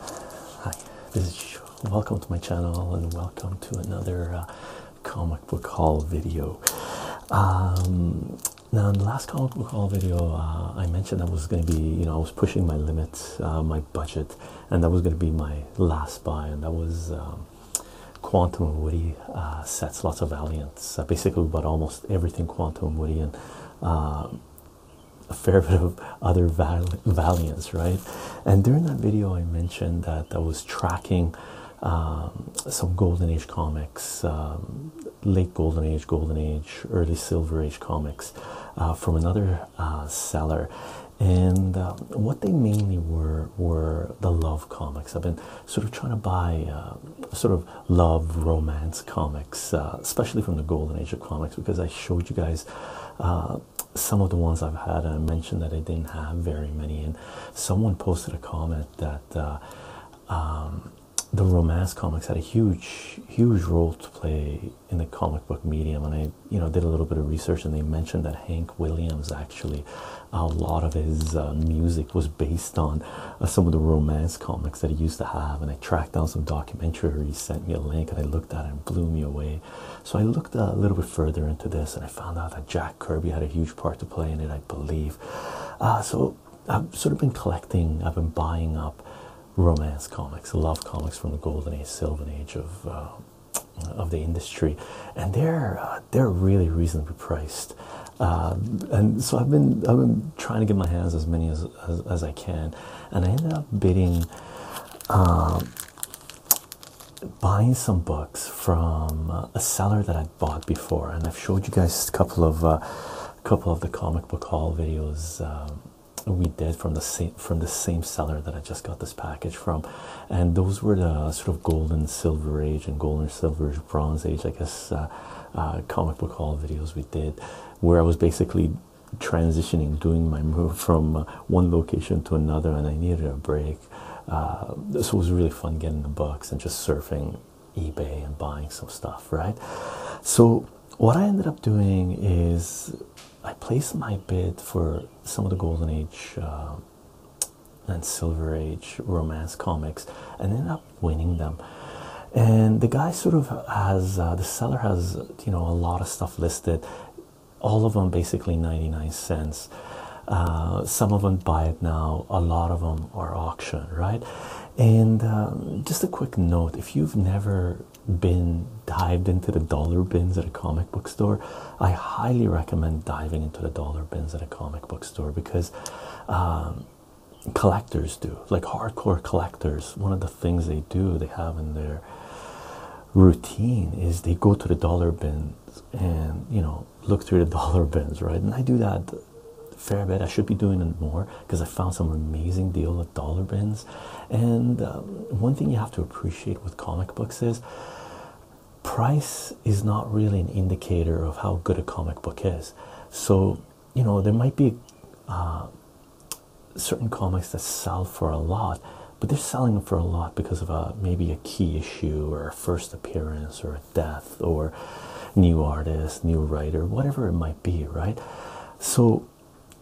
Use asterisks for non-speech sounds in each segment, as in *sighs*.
Hi, this is welcome to my channel and welcome to another uh, comic book haul video. Um, now, in the last comic book haul video, uh, I mentioned that was going to be, you know, I was pushing my limits, uh, my budget, and that was going to be my last buy, and that was um, Quantum and Woody uh, sets, lots of Valiants, uh, basically, but almost everything Quantum and Woody and uh, a fair *laughs* bit of other Valiants, right? And during that video, I mentioned that I was tracking um, some Golden Age comics, um, late Golden Age, Golden Age, early Silver Age comics from another seller. And um, what they mainly were were the love comics. I've been sort of trying to buy uh, sort of love romance comics, uh, especially from the golden age of comics, because I showed you guys uh, some of the ones I've had, I mentioned that I didn't have very many. And someone posted a comment that um, the romance comics had a huge, huge role to play in the comic book medium, and I, you know, did a little bit of research, and they mentioned that Hank Williams actually a lot of his uh, music was based on uh, some of the romance comics that he used to have. And I tracked down some documentary. He sent me a link, and I looked at it and blew me away. So I looked uh, a little bit further into this, and I found out that Jack Kirby had a huge part to play in it, I believe. so I've sort of been collecting. I've been buying up romance comics, love comics from the golden age, silver age of. of the industry and they're they're really reasonably priced um, and so i've been i've been trying to get my hands as many as as, i can and i ended up bidding um, buying some books from uh, a seller that i would bought before and i've showed you guys a couple of uh, a couple of the comic book hall videos um, we did from the same from the same seller that I just got this package from, and those were the sort of golden silver age and golden silver bronze age, I guess, uh, uh, comic book haul videos we did, where I was basically transitioning, doing my move *laughs* from uh, one location to another, and I needed a break. Uh, this was really fun getting the books and just surfing eBay and buying some stuff, right? So, what I ended up doing is I placed my bid for some of the Golden Age uh, and Silver Age romance comics and end up winning them. And the guy sort of has uh, the seller has you know a lot of stuff listed, all of them basically 99 cents. Uh, some of them buy it now, a lot of them are auction, right? And um, just a quick note if you've never been dived into the dollar bins at a comic book store, I highly recommend diving into the dollar bins at a comic book store because um, collectors do, like hardcore collectors. One of the things they do, they have in their routine, is they go to the dollar bins and you know look through the *laughs* dollar bins, right? And I do that fair bit. I should be doing it more because I found some amazing deal at dollar bins. And um, one thing you have to appreciate with comic books is price is not really an indicator of how good a comic book is. So, you know, there might be uh, certain comics that sell for a lot, but they're selling for a lot because of a maybe a key issue or a first appearance or a death or new artist, new writer, whatever it might be, right? So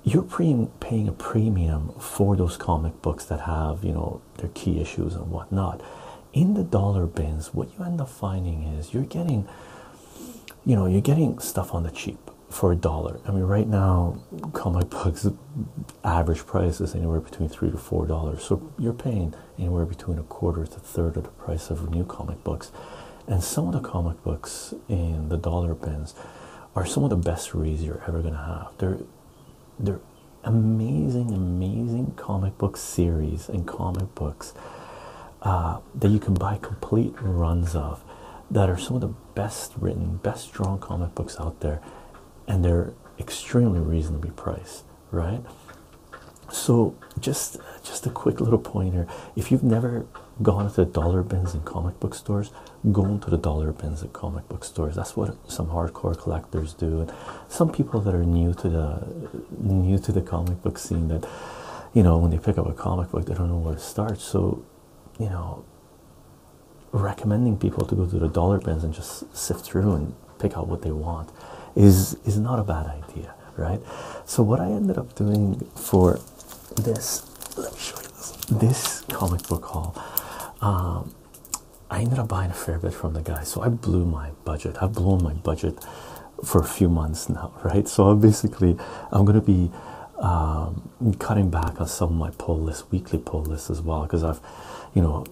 you're paying a premium for those comic books that have, you know, their key issues and whatnot in the dollar bins, what you end up finding is you're getting, you know, you're getting stuff on the cheap for a dollar. I mean, right now, comic books average price is anywhere between three to four dollars. So you're paying anywhere between a quarter to third of the price of new comic books. And some of the comic books in the dollar bins are some of the best reads you're ever gonna have. They're they're amazing, amazing comic book series and comic books uh, that you can buy complete runs of that are some of the best written, best drawn comic books out there, and they're extremely reasonably priced, right? So just just a quick little pointer. If you've never gone to the dollar bins in comic book stores, go into the dollar bins at comic book stores. That's what some hardcore collectors do some people that are new to the new to the comic book scene that you know when they pick up a comic book they don't know where to start so you know recommending people to go to the dollar bins and just sift through and pick out what they want is is not a bad idea right so what i ended up doing for this let me show you this this comic book haul um, i ended up buying a fair bit from the guy so i blew my budget i've blown my budget for a few months now, *laughs* right? So I'm basically, I'm going to be um, cutting back on some of my pull lists, weekly pull lists as well, because I've, you know,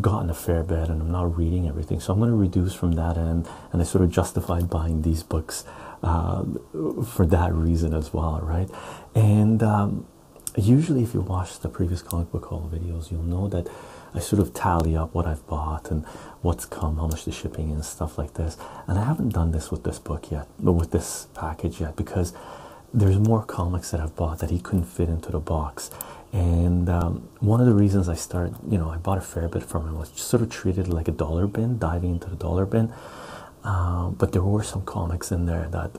gotten a fair bit and I'm not reading everything. So I'm going to reduce from that end, and I sort of justified buying these books um, for that reason as well, right? And um, usually, if you watch the previous comic book haul videos, you'll know that I sort of tally up what I have bought and what's come, how much the shipping and stuff like this. And I haven't done this with this book yet, but with this package yet, because there's more comics that I've bought that he couldn't fit into the box. And um, one of the reasons I started, you know, I bought a fair bit from him was sort of treated like a dollar bin, diving into the dollar bin. Uh, but there were some comics in there that,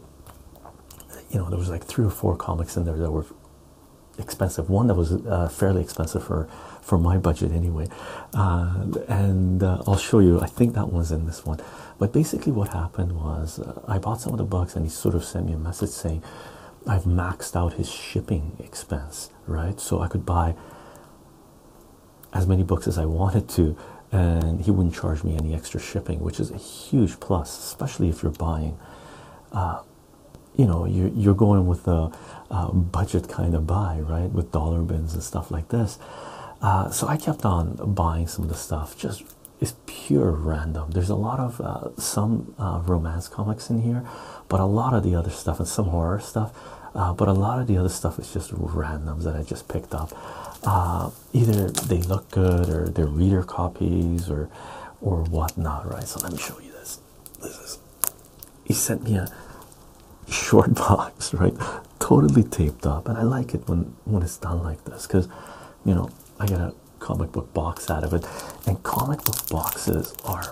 you know, there was like three or four comics in there that were expensive one that was uh, fairly expensive for for my budget anyway uh, and uh, I'll show you I think that one's in this one but basically what happened was I bought some of the books, and he sort of sent me a message saying I've maxed out his shipping expense right so I could buy as many books as I wanted to and he wouldn't charge me any extra shipping which is a huge plus especially if you're buying you know you you're going with a, budget kind of buy right with dollar bins and stuff like this uh, so I kept on buying some of the stuff just it's pure random there's a lot of uh, some uh, romance comics in here but a lot of the other stuff and some horror stuff but a lot of the other stuff is just randoms that I just picked up either they look good or they're reader copies or or whatnot right so let me show you this he sent me a short *laughs* box right totally taped up and i like it when when it's done like this because you know i get a comic book box out of it and comic book boxes are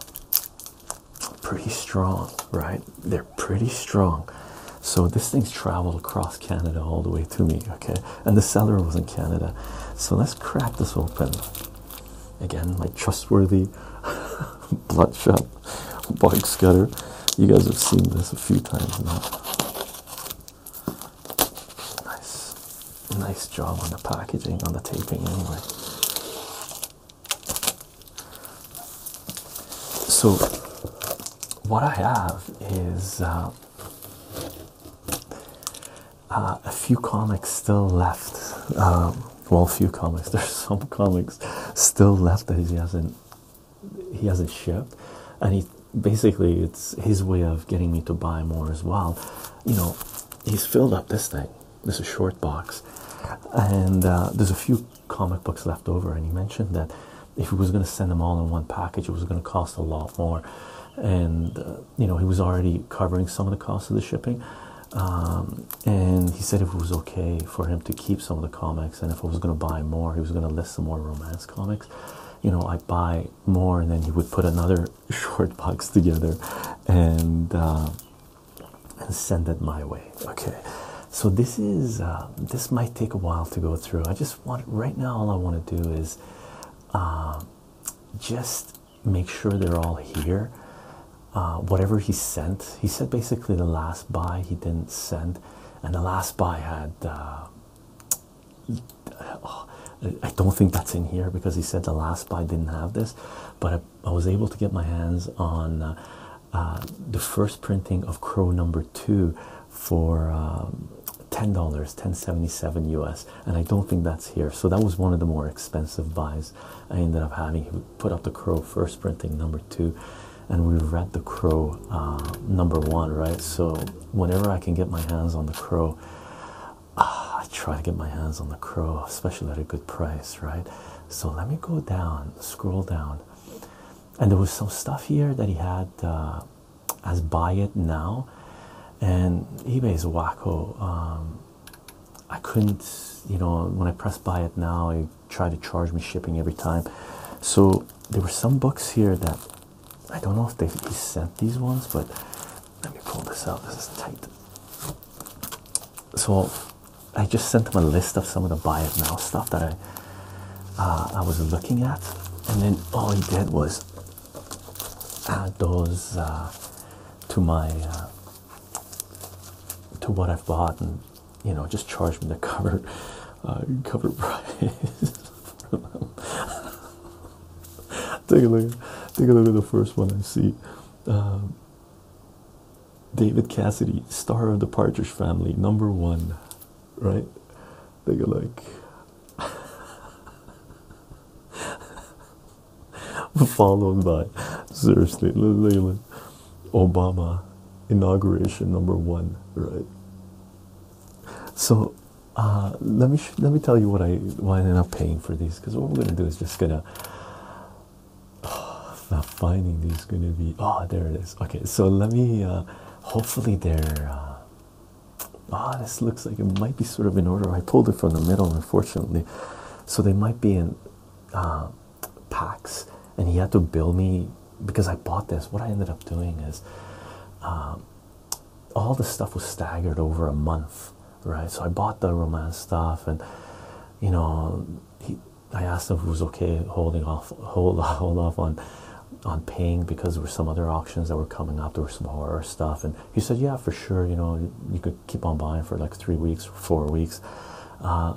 pretty strong right they're pretty strong so this thing's traveled across canada all the way to me okay and the seller was in canada so let's crack this open Again, my trustworthy *laughs* bloodshot bug scutter. You guys have seen this a few times now. Nice, nice job on the packaging, on the taping, anyway. So, what I have is uh, uh, a few comics still left. Um, well, few comics. *laughs* There's some comics still left that he hasn't he hasn't shipped, and he basically it's his way of getting me to buy more as well. You know, he's filled up this thing. This is short box, and uh, there's a few comic books left over. And he mentioned that if he was going to send them all in one package, it was going to cost a lot more. And uh, you know, he was already covering some of the cost of the shipping, um, and he said if it was okay for him to keep some of the comics, and if I was going to buy more, he was going to list some more romance comics. You know, I buy more, and then he would put another *laughs* short box together, and uh, and send it my way. Okay, so this is uh, this might take a while to go through. I just want right now. All I want to do is uh, just make sure they're all here. Uh, whatever he sent, he said basically the last buy he didn't send, and the last buy had. Uh, I don't think that's in here because he said the last buy didn't have this, but I, was able to get my hands on uh, the first printing of Crow number two for um, ten dollars, ten seventy seven US, and I don't think that's here. So that was one of the more expensive buys I ended up having put up the crow first printing number two and we read the crow uh, number one right so whenever i can get my hands on the crow ah, i try to get my hands on the crow especially at a good price right so let me go down scroll down and there was some stuff here that he had uh, as buy it now and ebay's wacko um, I couldn't, you know, when I press buy it now, I tried to charge me shipping every time. So there were some books here that I don't know if they sent these ones, but let me pull this out. This is tight. So I just sent him a list of some of the buy it now stuff that I uh, I was looking at, and then all he did was add those uh, to my uh, to what I've bought, and you know, just charge me the cover uh, cover price. *laughs* take a look. Take a look at the first one I see. Um, David Cassidy, star of the Partridge Family, number one, right? Take a look. *laughs* *laughs* followed by seriously Obama inauguration number one, right? So uh, let me let me tell you what I why I'm not paying for these because what we're gonna do is just gonna *sighs* not finding these gonna be oh there it is okay so let me uh, hopefully they're oh this looks like it might be sort of in order I pulled it from the middle unfortunately so they might be in uh, packs, and he had to bill me because I bought this. What I ended up doing is uh, all the stuff was staggered over a month, right? So I bought the romance stuff, and you know, he, I asked him if it was okay holding off, hold, *laughs* hold off on on paying because there were some other auctions that were coming up there were some horror stuff and he said yeah for sure you know you could keep on buying for like three weeks, four weeks. Uh,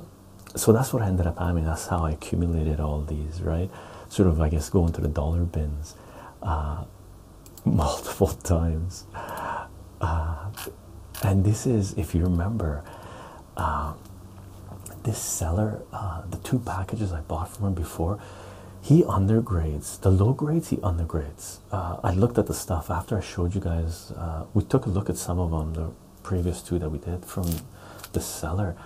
so that's what I ended up having. That's how I accumulated all these, right? Sort of, I guess, going to the dollar bins uh, *laughs* multiple times. Uh, and this is, if you remember, this seller, the two packages I bought from him before, he undergrades the low grades, he undergrades. Uh, I looked at the stuff after I showed you guys. Uh, we took a look at some of them, the previous two that we did from the seller,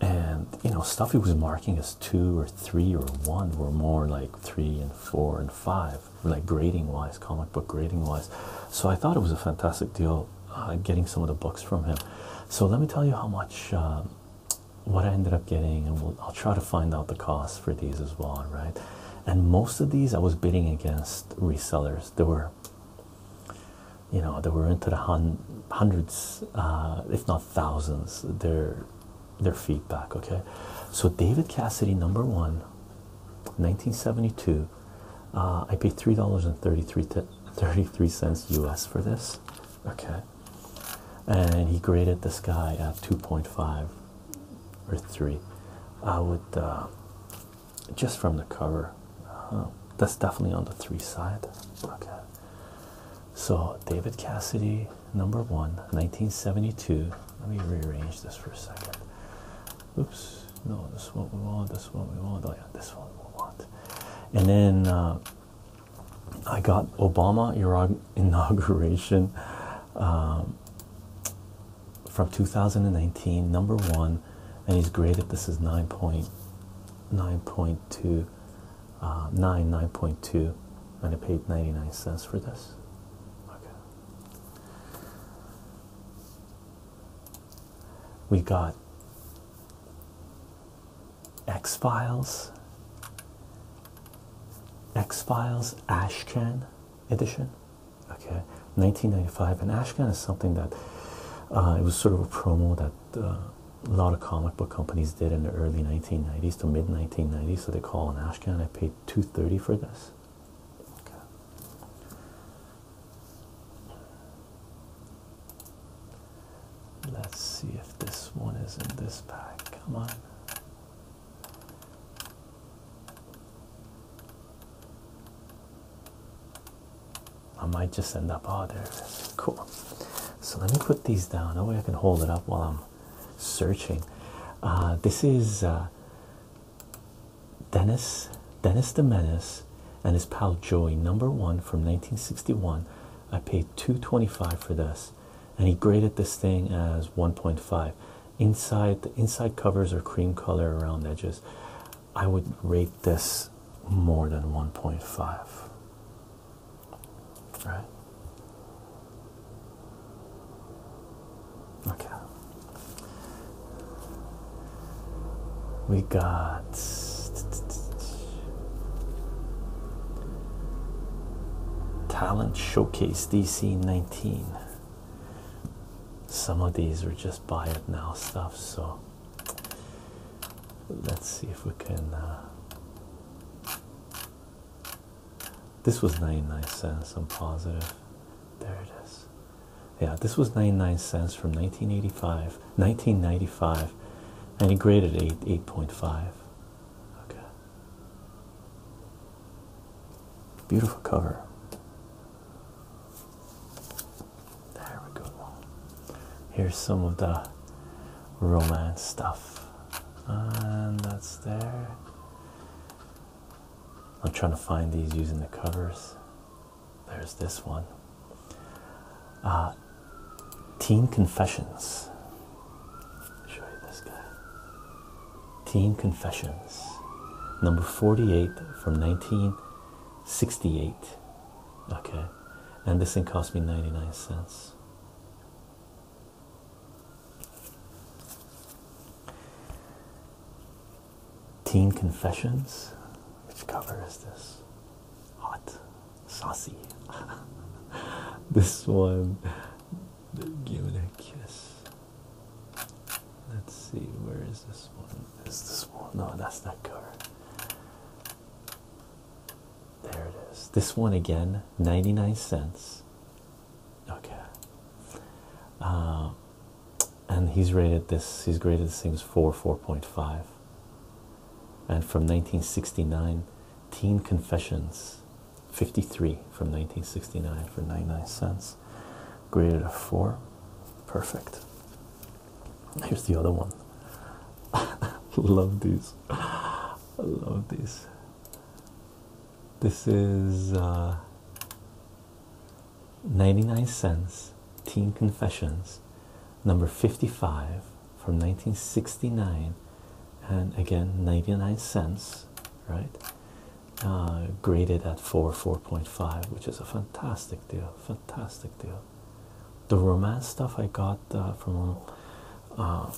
and you know, stuffy was marking as two or three or one were more like three and four and five, like grading wise, comic book grading wise. So I thought it was a fantastic deal uh, getting some of the books from him. So let me tell you how much. Um, what I ended up getting, and I'll try to find out the cost for these as well, right? and most of these I was bidding against resellers. There were, you know, there were into the hundreds, uh, if not thousands. Their their feedback. Okay, so David Cassidy, number one, 1972. Uh, I paid three dollars and thirty-three cents US for this. Okay, and he graded this guy at two point five or three. I would. Uh, just from the cover. Uh-huh. that's definitely on the three side. Okay. So David Cassidy, number one, 1972. Let me rearrange this for a second. Oops. No, this one we want. This one we want. Oh yeah, this one we want. And then uh, I got Obama *laughs* inauguration. Um, from 2019, number one, and he's graded this is 9.9.2, 9.2, uh, and I paid 99 cents for this. Okay. We got X Files, X Files, Ashcan edition okay 1995 and ashcan is something that uh, it was sort of a promo that uh, a lot of comic book companies did in the early 1990s to mid 1990s so they call an ashcan i paid 230 for this Let's see if this one is in this pack. Come on. I might just end up, oh, there Cool. So let me put these down. That way I can hold it up while I'm searching. Uh, this is uh, Dennis, Dennis the Menace, and his pal Joey, number one from 1961. I paid 225 for this, and he graded this thing as 1.5 inside the inside covers are cream color around edges i would rate this more than 1.5 right okay we got Talent Showcase DC 19. Some of these are just buy it now stuff, so let's see if we can. Uh, this was 99 cents, I'm positive. There it is. Yeah, this was 99 cents from 1985, 1995, and he graded 8, 8.5. Okay. Beautiful cover. There we go. Here's some of the romance stuff, and that's there. I'm trying to find these using the covers. There's this one. Uh, Teen Confessions. Show you this guy. Teen Confessions, number 48 from 1968. Okay, and this thing cost me 99 cents. Teen Confessions, which cover is this? Hot, saucy. *laughs* this one, give it a kiss. Let's see, where is this one? Is this one? No, that's that card. There it is. This one again, 99 cents. Okay. Uh, and he's rated this, he's graded this thing's 4, 4.5. And from 1969, Teen Confessions, 53 from 1969 for 99 cents graded a four. Perfect. Here's the other one. *laughs* Love these. love these. This is uh, 99 cents Teen Confessions number 55 from 1969 and again 99 cents right uh, graded at 4 4.5 which is a fantastic deal fantastic deal the romance stuff i got uh, from uh,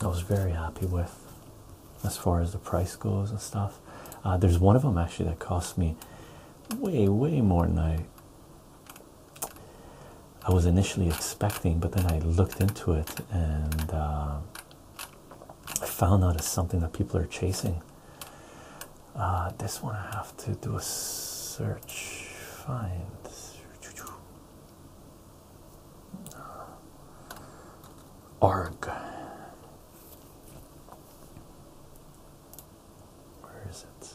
i was very happy with as far as the price goes and stuff uh, there's one of them actually that cost me way way more than i i was initially expecting but then i looked into it and uh, I found out it's something that people are chasing. Uh, this one I have to do a search. Find. Arg. Where is it?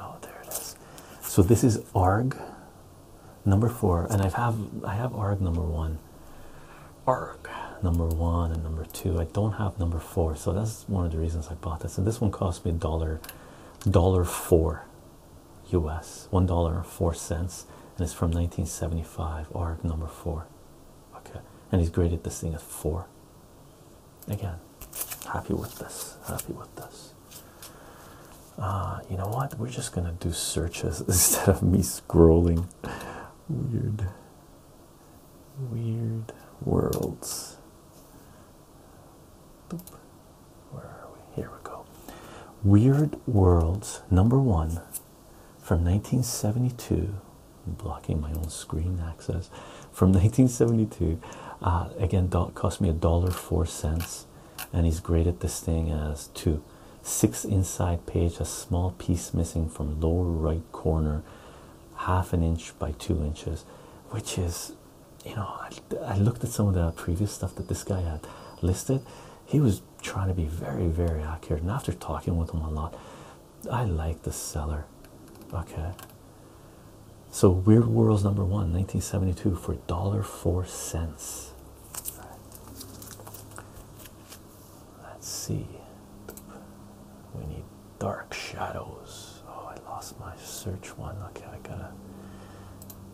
Oh, there it is. So this is arg number four, and I have I have arg number one arc number one and number two i don't have number four so that's one of the reasons i bought this and this one cost me dollar dollar four us one dollar and four cents and it's from 1975 arc number four okay and he's graded this thing at four again happy with this happy with this uh, you know what we're just gonna do searches *laughs* instead of me scrolling weird, weird worlds. Where are we? Here we go. Weird Worlds number one from 1972. blocking my own screen access from 1972. Uh, again, cost me a dollar four cents, and he's graded this thing as two six inside page a small piece missing from lower right corner half an inch by two inches which is you know I, looked at some of the previous stuff that this guy had listed he was trying to be very very accurate and after talking with him a lot i like the seller okay so weird worlds number one 1972 for dollar four cents Let's see. We need dark shadows. Oh, I lost my search one. Okay, I gotta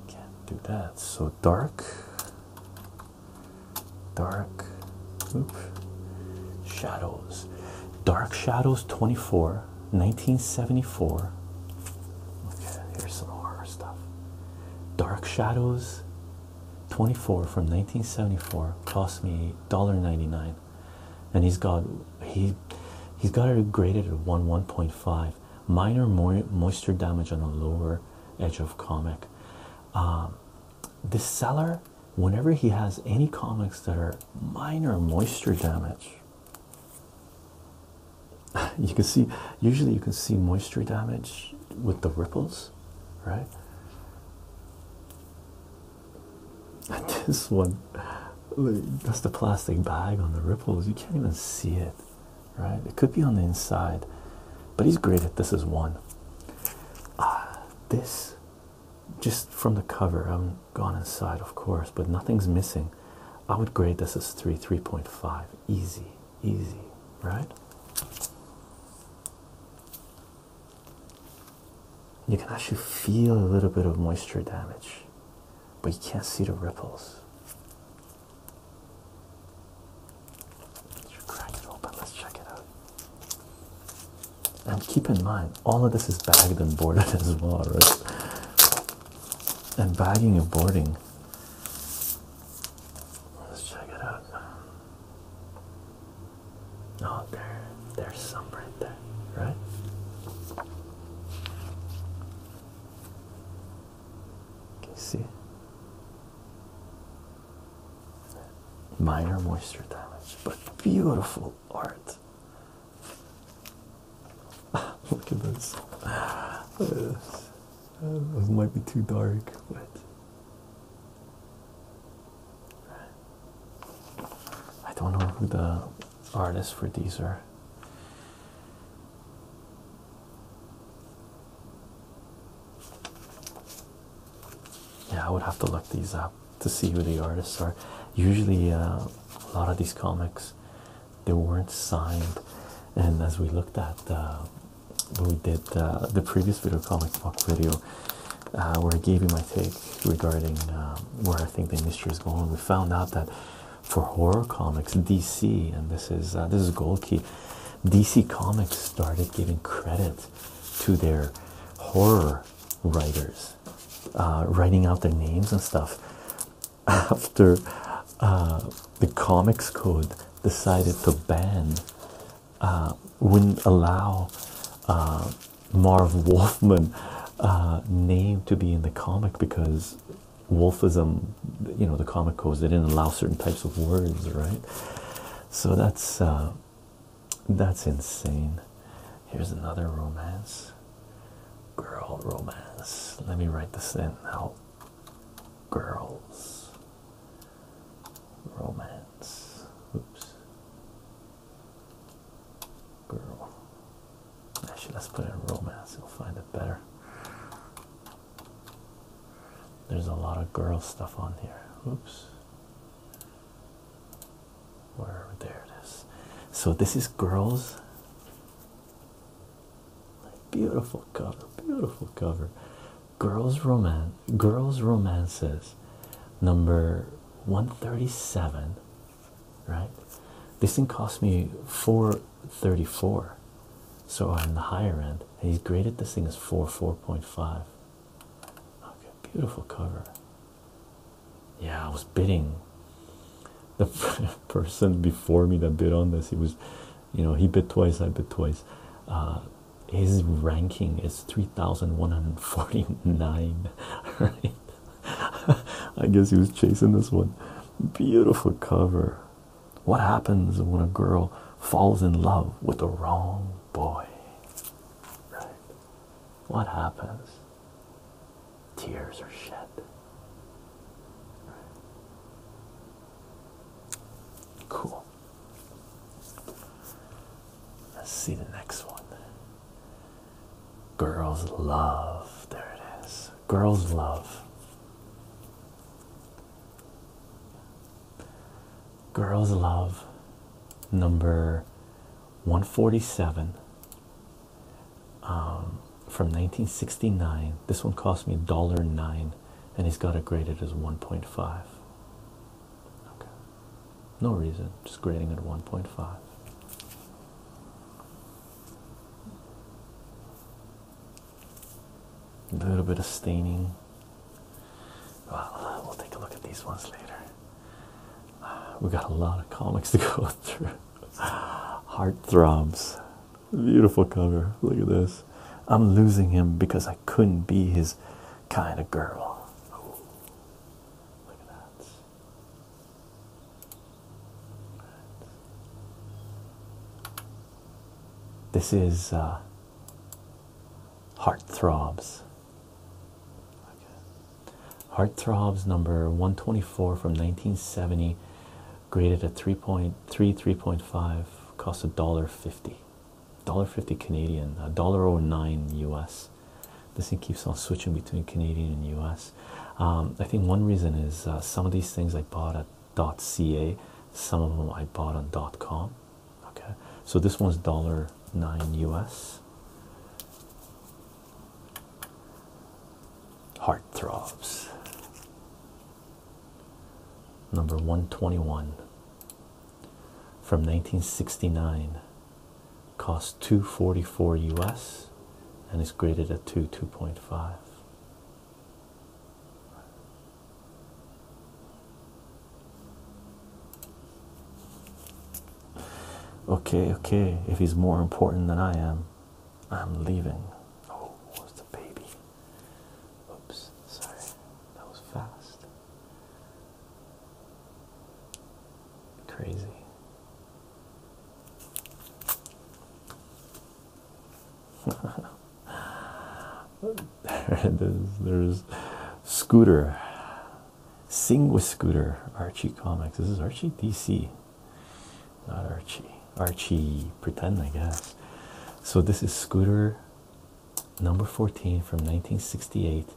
can't do that. So dark, dark, shadows. Dark Shadows 24, 1974. Okay, here's some horror stuff. Dark Shadows 24 from 1974 cost me $1.99 and he's got he he's got it graded at 1 1.5 minor moisture damage on the lower edge of comic um, this seller whenever he has any comics that are minor moisture damage *laughs* you can see usually you can see moisture damage with the ripples right? *laughs* this one, that's the plastic bag on the ripples. You can't even see it, right? It could be on the inside, but he's graded this as one. Ah, this just from the cover, I haven't gone inside, of course, but nothing's missing. I would grade this as three, 3.5. Easy, easy, right? you can actually feel a little bit of moisture damage, but you can't see the ripples. Let's crack it open, let's check it out. And keep in mind, all of this is bagged and boarded *laughs* as well, right? And bagging and boarding. Let's check it out. Oh, there, there's some right there, right? Can see? Minor moisture damage, but beautiful art. *laughs* Look at this. Uh, this might be too dark, but I don't know who the artists for these are. Yeah, I would have to look these up to see who the artists are. Usually, uh, a lot of these comics they weren't signed, and as we looked at uh, we did uh, the previous video comics book video uh, where I gave you my take regarding uh, where I think the industry is going. We found out that for horror comics, DC and this is this is Gold Key, DC Comics started giving credit to their horror writers, writing out their names and stuff *laughs* after the Comics Code decided to ban uh, wouldn't allow uh, Marv *laughs* Wolfman uh, name to be in the comic because wolfism, you know, the comic codes they didn't allow certain types of words, right? So that's that's insane. Here's another romance, girl romance. Let me write this in now. Girls, romance. Oops. Girl. Actually, let's put in romance, you'll find it better. There's a lot of girl stuff on here. Oops. Where there it is. So this is girls. Beautiful cover, beautiful cover girls romance girls romances number 137 right this thing cost me 434 so i'm the higher end and he's graded this thing as 4 4.5 okay beautiful cover yeah i was bidding the *laughs* person before me that bid on this he was you know he bid twice i bid twice uh, his ranking is 3149 *laughs* right i guess he was chasing this one beautiful cover what happens when a girl falls in love with the wrong boy right what happens tears are shed right. cool Let's see the next one. Girls love. There it is. Girls love. Girls love number 147 um, from 1969. This one cost me $1.09 and he's got it graded as 1.5. Okay. No reason, just grading at 1.5. A little bit of staining. Well, we'll take a look at these ones later. We got a lot of comics to go *laughs* through. Heart throbs. Beautiful cover. Look at this. I'm losing him because I couldn't be his kind of girl. This is uh, Heartthrobs. Okay. Heartthrobs number 124 from 1970, graded at three point three three point five. cost a dollar fifty. $1.50 Canadian, $1.09 US. This thing keeps on switching between Canadian and US. Um, I think one reason is uh, some of these things I bought at .ca, some of them I bought on .com. Okay, so this one's $1.09 US. Heart throbs. Number 121 from 1969 cost 244 US and is graded at 2 2.5 Okay, okay, if he's more important than I am, I'm leaving. Oh, was the baby. Oops, sorry, that was fast. Crazy. *laughs* There's Scooter. Sing with Scooter. Archie Comics. This is Archie DC. Not Archie. Archie pretend, I guess. So this is Scooter number 14 from 1968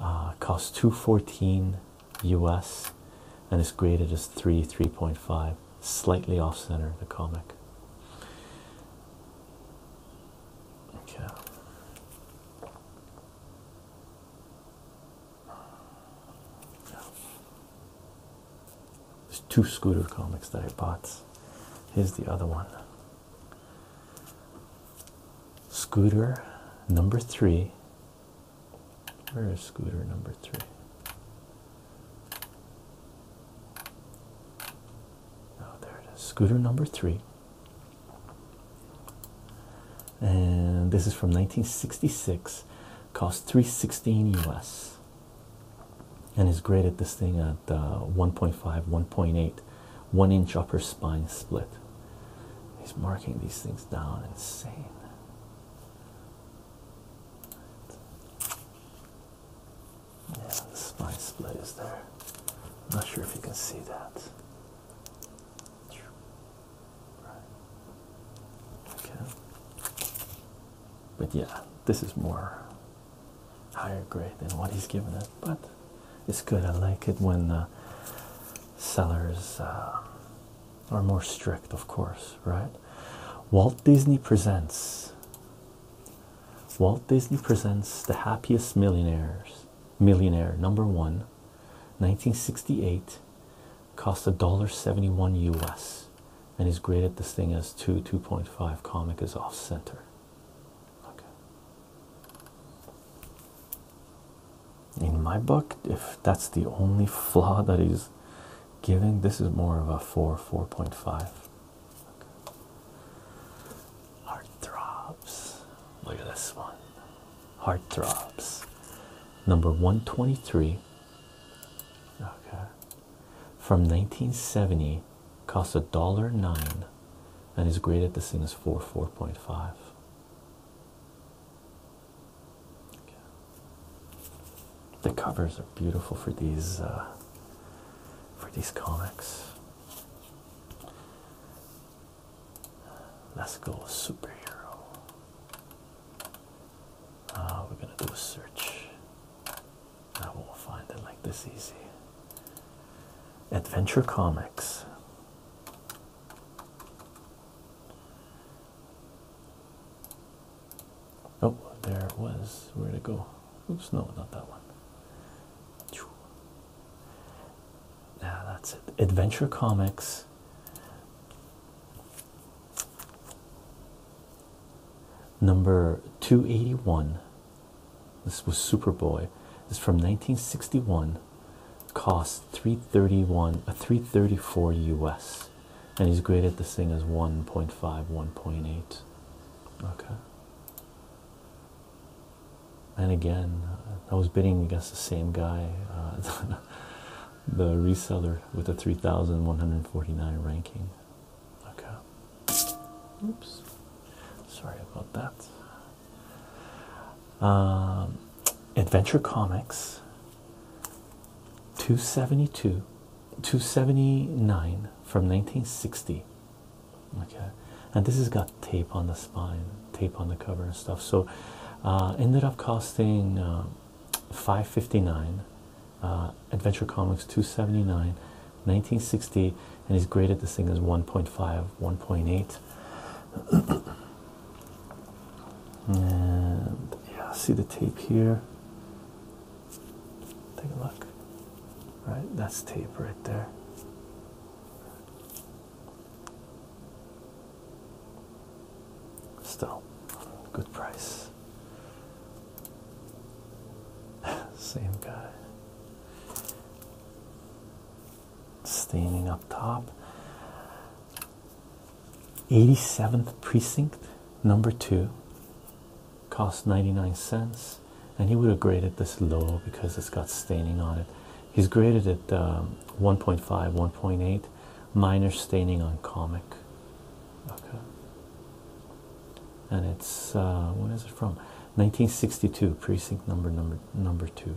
uh, costs 214 us and is graded as 3 3.5 slightly off center the comic okay there's two scooter comics that I bought. Here's the other one. Scooter number three. Where is scooter number three? Oh, there it is. Scooter number three. And this is from 1966. Cost 316 US. And is graded this thing at uh, 1.5, 1.8 one inch upper spine split. He's marking these things down, insane. Yeah, the spine split is there. not sure if you can see that. Okay. But yeah, this is more higher grade than what he's given it, but it's good. I like it when sellers uh, are more strict, of course, right? Walt Disney presents. Walt Disney presents The Happiest Millionaires. Millionaire number one, 1968, cost a dollar seventy-one US, and is graded this thing as two two point five. Comic is off center. In my book, if that's the only flaw that he's giving, this is more of a 4, 4.5. Okay. Heart throbs. Look at this one. Heart throbs. Number 123. Okay. From 1970, cost a dollar nine and he's graded the scene as 4 4.5 the covers are beautiful for these uh, for these comics let's go superhero ah, we're gonna do a search I won't find it like this easy. Adventure Comics. Oh, there it was. where to go? Oops, no, not that one. Yeah, that's it. Adventure Comics. Number 281 this was Superboy. It's from 1961. Cost 331 a uh, 334 US. And he's graded this thing as 1.5, 1.8. Okay. And again, uh, I was bidding against the same guy, uh, *laughs* the reseller with a 3,149 ranking. Okay. Oops. Sorry about that. Um, adventure Comics 272 279 from 1960 okay and this has got tape on the spine tape on the cover and stuff so uh, ended up costing um, 559 uh, adventure comics 279 1960 and he's graded this thing as 1.5 1.8 and yeah, see the tape here. Take a look. All right, that's tape right there. Still, good price. *laughs* Same guy staining up top. 87th precinct number two cost 99 cents and he would have graded this low because it's got staining on it he's graded it um, 1.5 1.8 minor staining on comic okay and it's uh, where is it from 1962 precinct number number number two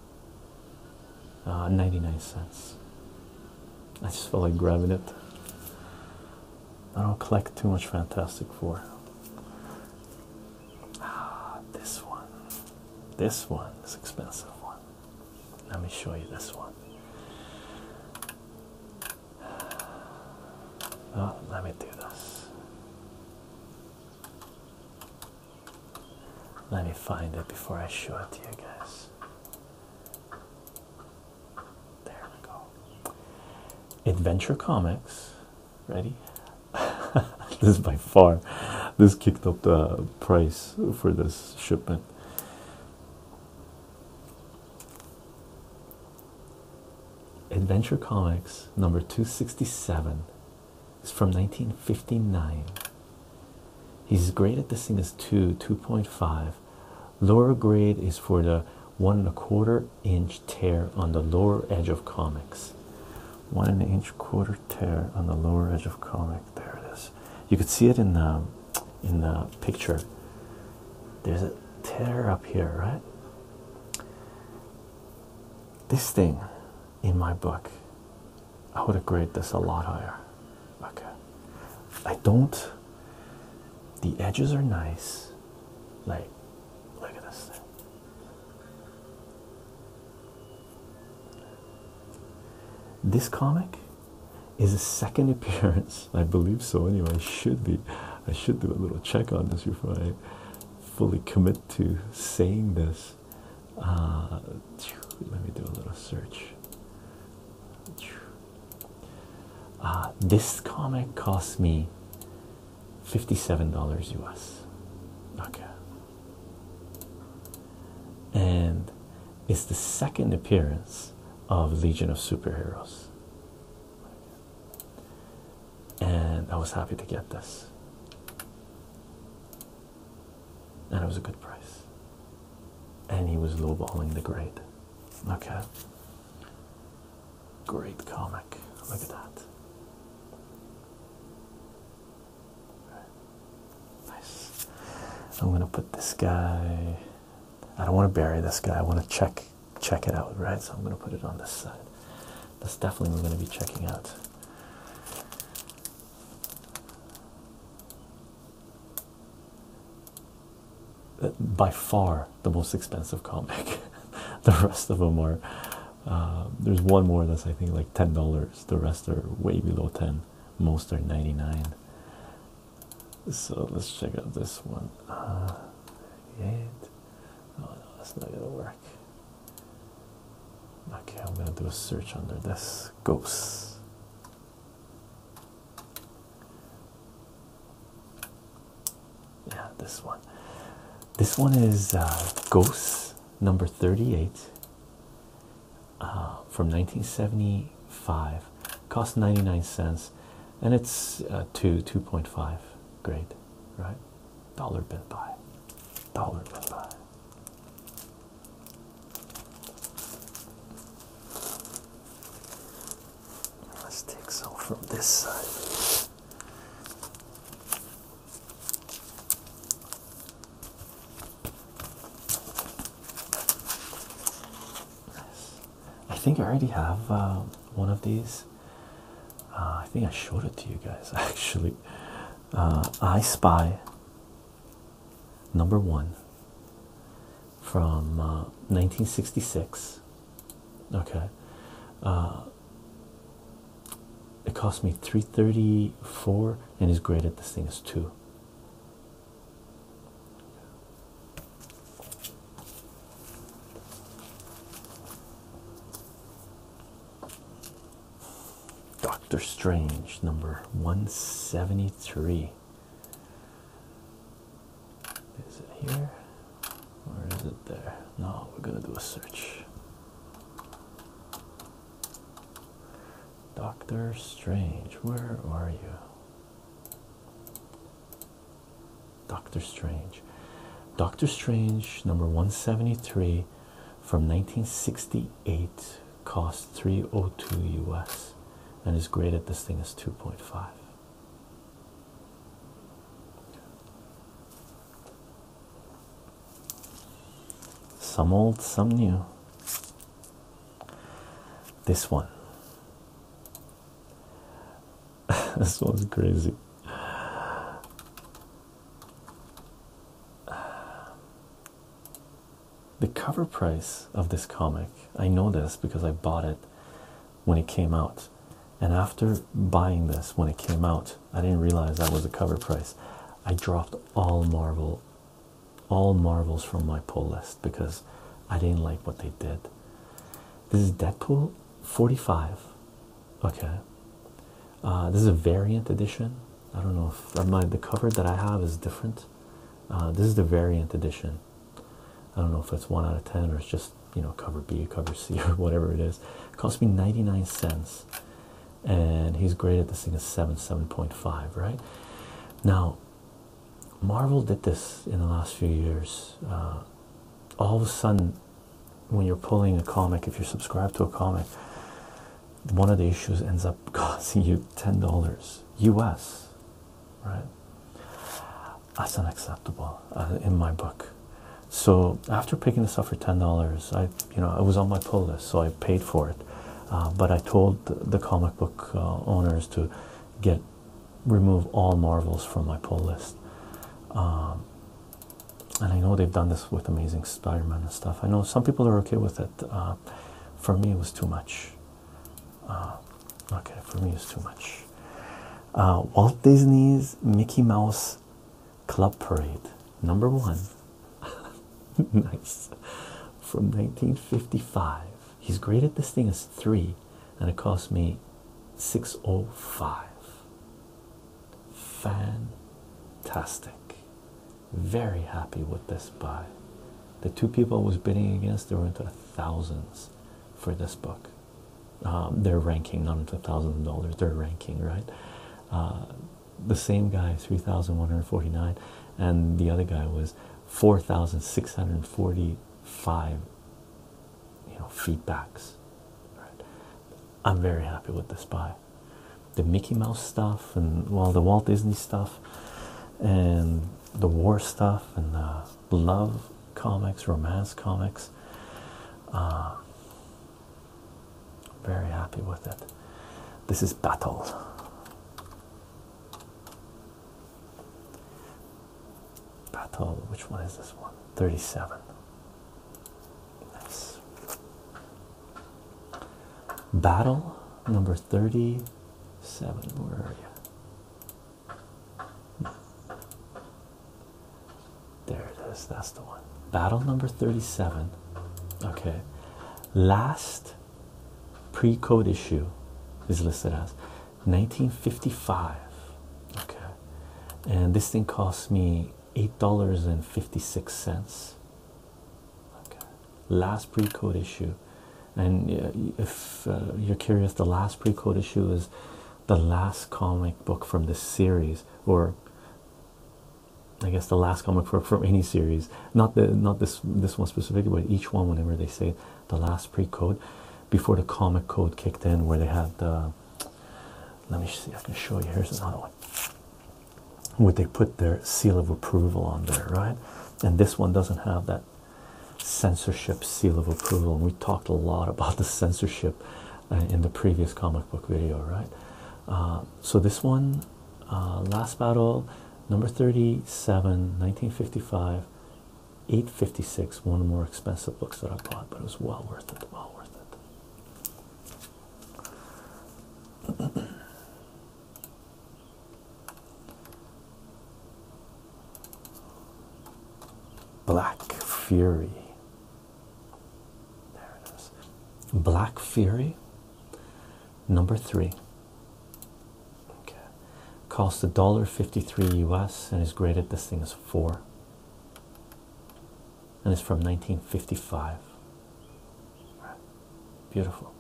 Uh, 99 cents. I just felt like grabbing it. I don't collect too much Fantastic Four. Ah, this one. This one is expensive one. Let me show you this one. *sighs* Oh, let me do this. Let me find it before I show it to you guys. There we go. Adventure Comics. Ready? *laughs* this is by far. This kicked up the price for this shipment. Adventure Comics number 267 is from 1959. He's graded this thing as 2, 2.5. Lower grade is for the one and a quarter inch tear on the lower edge of comics. One and an inch quarter tear on the lower edge of comic. There it is. You could see it in the in the picture. There's a tear up here, right? This thing in my book I would have graded this a lot higher. Okay. I don't the edges are nice. Like look at this thing. This comic is a second *laughs* appearance, I believe so anyway. Should be. I should do a little check on this before I fully commit to saying this. Uh, let me do a little search. Uh, this comic cost me $57 US. Okay. And it's the second appearance of Legion of Superheroes. And I was happy to get this and it was a good price. And he was lowballing the grade. Okay. Great comic. Look at that. Nice. I'm gonna put this guy. I don't want to bury this guy. I want to check check it out, right? So I'm gonna put it on this side. That's definitely we're gonna be checking out. Uh, by far the most expensive comic. *laughs* the rest of them are. Uh, there's one more that's I think like ten dollars. The rest are way below ten. Most are ninety nine. So let's check out this one. Uh, eight. Oh no, that's not gonna work. Okay, I'm gonna do a search under this ghost. Yeah, this one. This one is uh, Ghosts number 38 uh, from 1975. Cost 99 cents, and it's uh, two 2.5 grade, right? Dollar bin buy, dollar bin buy. Let's take some from this side. I think I already have um, one of these. Uh, I think I showed it to you guys *laughs* actually. Uh, I Spy number one from 1966. Uh, okay, uh, it cost me 334, and his grade at this thing is two. Doctor Strange number 173. Is it here? Or is it there? No, we're gonna do a search. Doctor Strange, where are you? Doctor Strange. Doctor Strange number 173 from 1968 costs 302 US and is graded this thing is 2.5. Some old, some new. This one. *laughs* this one's crazy the cover price of this comic, I know this because I bought it when it came out. And after buying this when it came out, I didn't realize that was a cover price. I dropped all Marvel, all Marvels from my pull list because I didn't like what they did. This is Deadpool 45. Okay. Uh, this is a variant edition. I don't know if I the cover that I have is different. Uh, this is the variant edition. I don't know if it's one out of ten or it's just you know cover B, cover C, *laughs* or whatever it is. It cost me 99 cents, and he's graded this thing as seven, seven point five, right? Now, Marvel did this in the last few years. Uh, all of a sudden, when you're pulling a comic, if you're subscribed to a comic, one of the issues ends up *laughs* costing you ten dollars US right? That's unacceptable uh, in my book. So after picking this up for ten dollars, I you know it was on my pull list, so I paid for it. Uh, but I told the, comic book uh, owners to get remove all Marvels from my pull list. Um, and I know they've done this with Amazing Spider-Man and stuff. I know some people are okay with it. for me, it was too much. Uh, okay, for me it's too much. Uh, Walt Disney's Mickey Mouse Club Parade, number one. *laughs* nice. From 1955. He's graded this thing as three, and it cost me 605. Fantastic. Very happy with this buy. The two people I was bidding against, they were into thousands for this book. Um, their ranking, not into thousands of dollars, their ranking, right? Uh, the same guy, 3,149, and the other guy was 4,645 you know, feedbacks. I'm very happy with this buy. The Mickey Mouse stuff and all the Walt Disney stuff and the war stuff and the love comics, romance comics. Uh, very happy with it. This is Battle. Battle, which one is this one? 37. Nice. Battle number 30 seven. Where are you? There it is. That's the one. Battle number 37. Okay. Last pre code issue is listed as 1955. Okay. And this thing cost me $8.56. Okay, last pre-code issue, and uh, if uh, you're curious, the last pre-code issue is the last comic book from this series, or I guess the last comic book from any series. Not the not this this one specifically, but each one. Whenever they say the last pre-code, before the comic code kicked in, where they had the let me see, I can show you. Here's another one. Would they put their seal of approval on there, right? And this one doesn't have that censorship seal of approval. And we talked a lot about the censorship uh, in the previous comic book video, right? Uh, so this one, uh, Last Battle, number 37, 1955, 856, one of the more expensive books that I bought, but it was well worth it, well worth it. *clears throat* Black Fury. There it is. Black Fury, number three. Cost a dollar fifty-three US and is graded. This thing is four. And it's from 1955. Beautiful.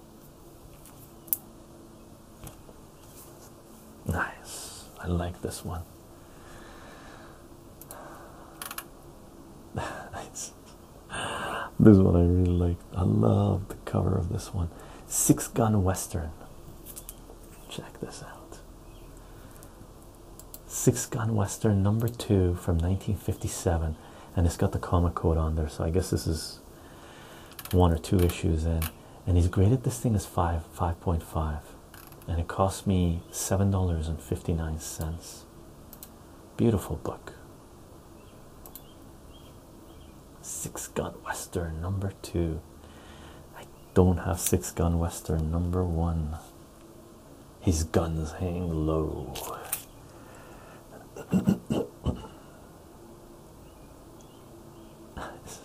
Nice. I like this one. *laughs* this one I really like. I love the cover of this one. Six Gun Western. Check this out. Six Gun Western number two from 1957. And it's got the comic code on there. So I guess this is one or two issues in, and he's graded this thing as five, 5.5, and it cost me $7.59. Beautiful book. Six Gun Western number two. I don't have Six Gun Western number one. His guns hang low. Let's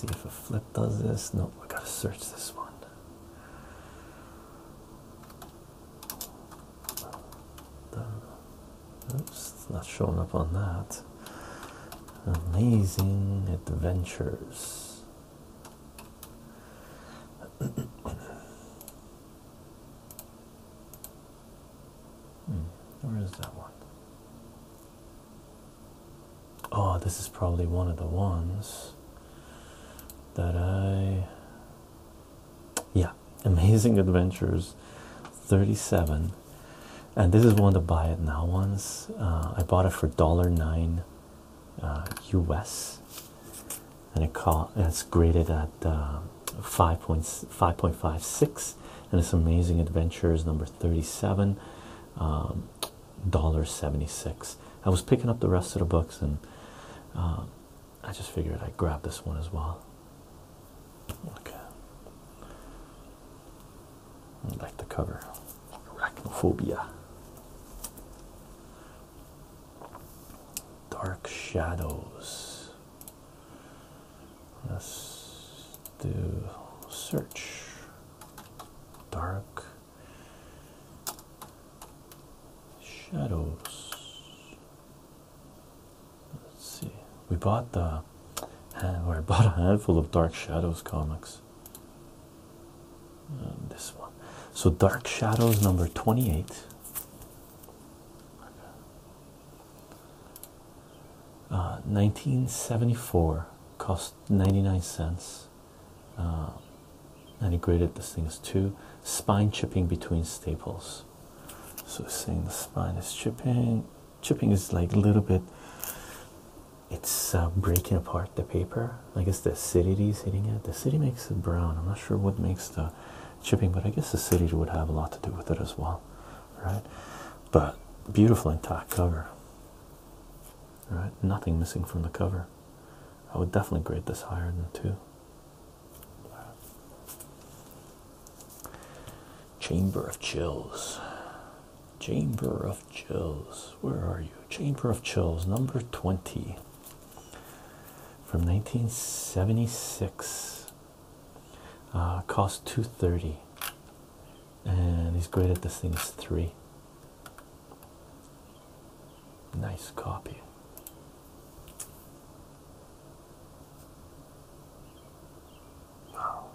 see if a flip does this. No, We gotta search this one. Oops, not showing up on that. Amazing Adventures. Hmm, where is that one? Oh, this is probably one of the ones that I. Yeah, Amazing Adventures 37 and this is one to buy it now once uh, i bought it for dollar nine us uh, and it's graded at uh, five point five six, and it's amazing adventures number 37 um, 76 i was picking up the rest of the books and i just figured i'd grab this one as well okay I like the cover. Arachnophobia. Dark shadows. Let's do search. Dark shadows. Let's see. We bought the uh, where I bought a handful of Dark Shadows comics. Um, this one, so Dark Shadows number twenty-eight. 1974 uh, cost 99 cents uh, and he graded this thing as two spine chipping between staples so seeing the spine is chipping chipping is like a little bit it's uh, breaking apart the paper i guess the acidity is hitting it the acidity makes it brown i'm not sure what makes the chipping but i guess the acidity would have a lot to do with it as well right but beautiful intact cover right nothing missing from the cover i would definitely grade this higher than two Chamber of Chills. Chamber of Chills. Where are you? Chamber of Chills, number 20 from 1976. Uh, cost 230 and he's graded this thing as 3. Nice copy. Wow.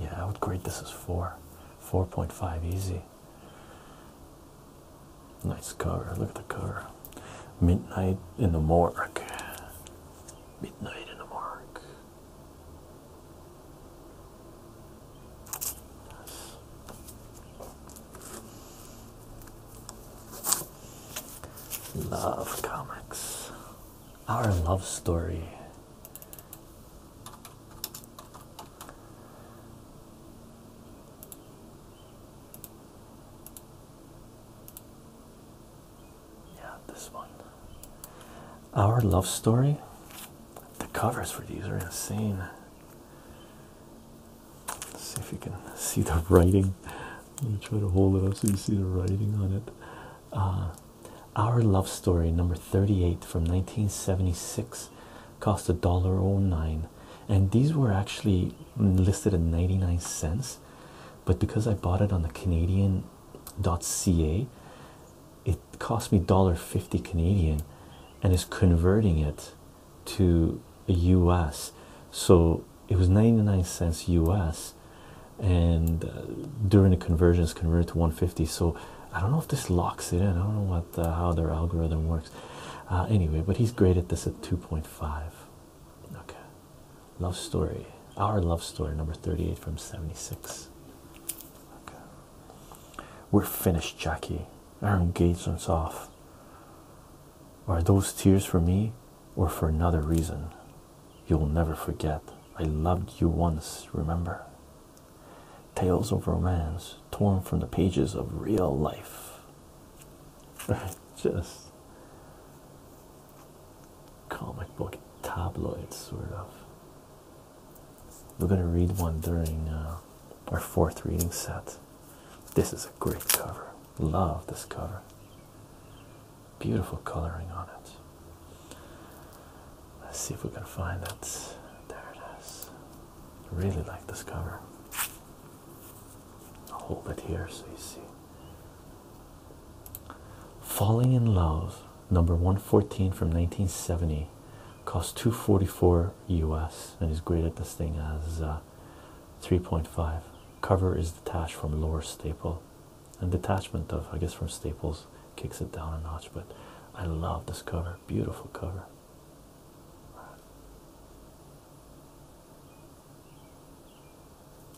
Yeah, I would grade this as four. 4.5 easy. Nice cover. Look at the cover. Midnight in the morgue. Midnight in the morgue. Yes. Love comics. Our love story. Yeah, this one. Our love story. The covers for these are insane. Let's see if you can *laughs* see the writing let me try to hold it up so you see the writing on it. Uh, Our Love Story, number 38 from 1976, cost a dollar oh nine, and these were actually listed at 99 cents, but because I bought it on the Canadian.ca, it cost me dollar fifty Canadian, and is converting it to a US. So it was 99 cents US and uh, during the conversions, converted to 150 so I don't know if this locks it in I don't know what how their algorithm works uh, anyway but he's great at this at 2.5 okay love story our love story number 38 from 76 we're finished Jackie our engagement's off are those tears for me or for another reason, you will never forget. I loved you once, remember? Tales of romance torn from the pages of real life. *laughs* Just comic book tabloids, sort of. We're going to read one during uh, our fourth reading set. This is a great cover. Love this cover. Beautiful coloring on it. Let's see if we can find it. There it is. Really like this cover. I'll hold it here so you see. Falling in Love, number 114 from 1970, cost 244 US and is graded this thing as uh, 3.5. Cover is detached from lower staple and detachment of, I guess, from Staples kicks it down a notch. But I love this cover, beautiful cover.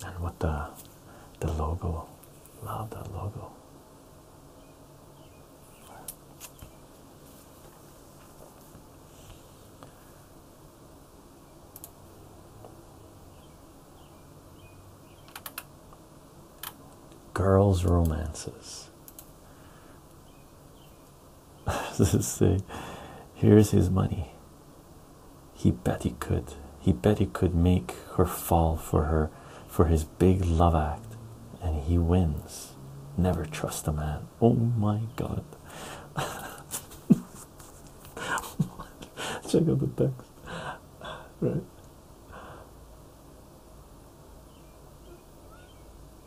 And what the the logo, love the logo. Girls' romances. *laughs* this is the, here's his money. He bet he could. He bet he could make her fall for her, for his big love act, and he wins. Never trust a man. Oh my God. *laughs* *laughs* Check out the text. Right.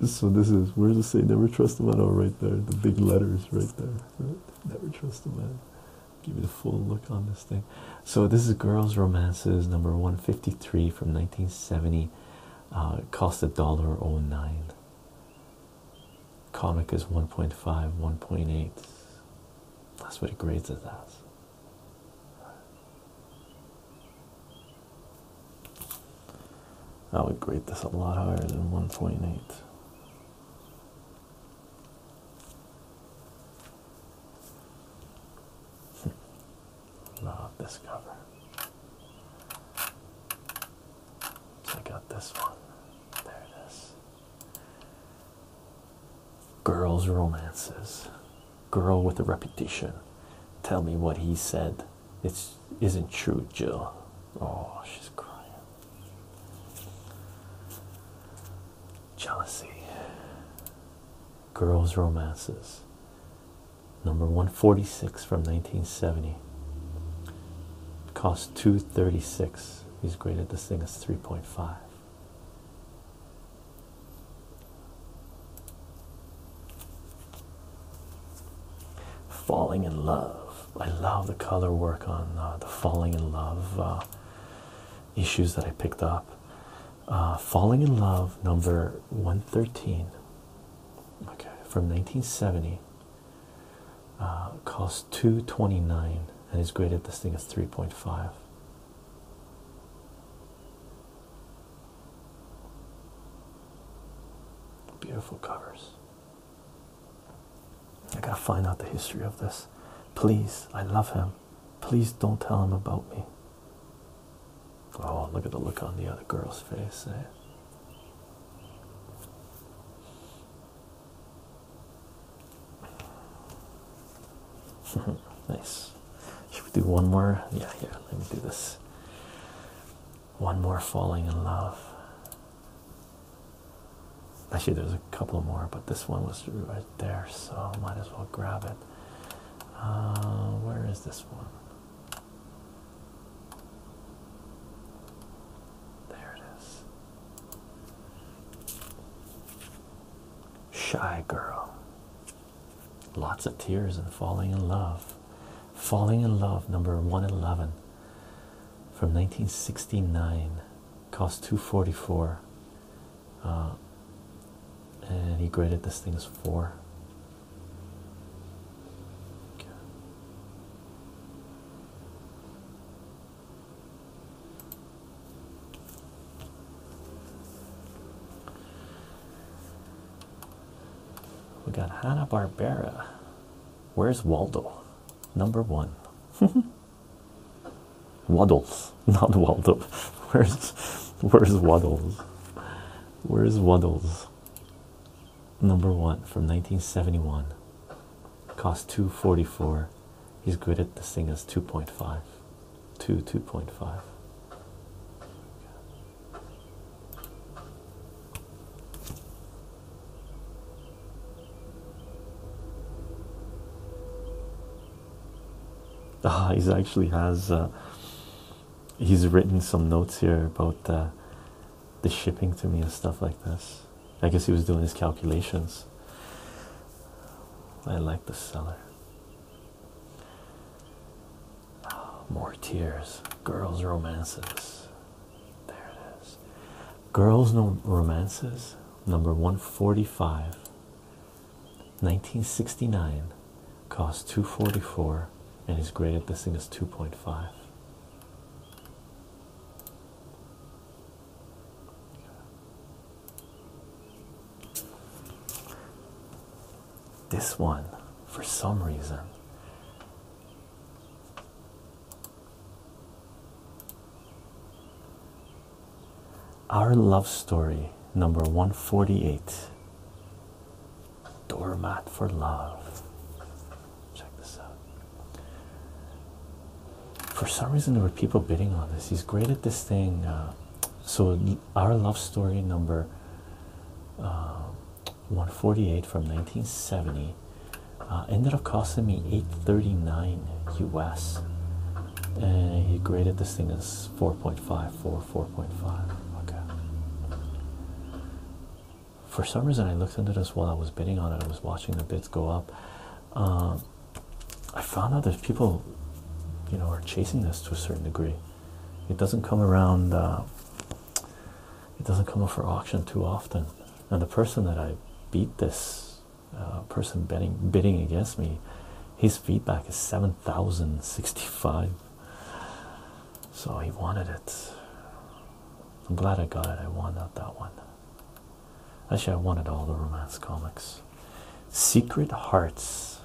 So this is where does it say never trust a man? Oh, right there. The big letters right there. Right? Never trust a man. Give me the full look on this thing. So this is Girls Romances number 153 from 1970. Uh, cost a dollar oh nine comic is 1.5 1.8 that's what it grades it as I would grade this a lot higher than 1.8. Hmm. Love this cover. So I got this one. There it is. Girls' romances. Girl with a reputation. Tell me what he said. It's not true, Jill. Oh, she's crying. Jealousy. Girls' romances. Number 146 from 1970. Cost 236 he's graded this thing as 3.5 falling in love i love the color work on uh, the falling in love uh, issues that i picked up uh, falling in love number 113 okay from 1970 uh, costs 229 and he's graded this thing is 3.5 beautiful covers i gotta find out the history of this please i love him please don't tell him about me oh look at the look on the other girl's face eh? *laughs* nice. Should we do one more? Yeah, yeah, let me do this. One more falling in love. Actually, there's a couple more, but this one was right there, so might as well grab it. Uh, where is this one? There it is. Shy girl. Lots of tears and falling in love. Falling in Love, number 111 from 1969. Cost 244. Uh, and he graded this thing as four. We got Hanna Barbera. Where's Waldo? Number one. *laughs* Waddles, not Waldo. *laughs* Where's where's Waddles? Where's Waddles? Number one from 1971 cost 244 he's graded this thing as 2.5 2 2.5 Ah, he's actually has uh, he's written some notes here about uh, the shipping to me and stuff like this. I guess he was doing his calculations. I like the cellar. More tears. Girls' romances. There it is. Girls' no romances, number 145. 1969. Cost 244. And he's great at this thing is 2.5. This one, for some reason, Our Love Story, number 148. Doormat for Love. Check this out for some reason there were people bidding on this he's great at this thing uh, so our love story number uh, 148 from 1970 uh, ended up costing me 839 us and he graded this thing as 4.5 4 okay for some reason i looked into this while i was bidding on it i was watching the bids go up um, I found out that people, you know, are chasing this to a certain degree. It doesn't come around. Uh, it doesn't come up for auction too often, and the person that I beat this uh, person betting bidding against me, his feedback is seven thousand sixty-five. So he wanted it. I'm glad I got it. I won out that one. Actually, I wanted all the romance comics. Secret Hearts.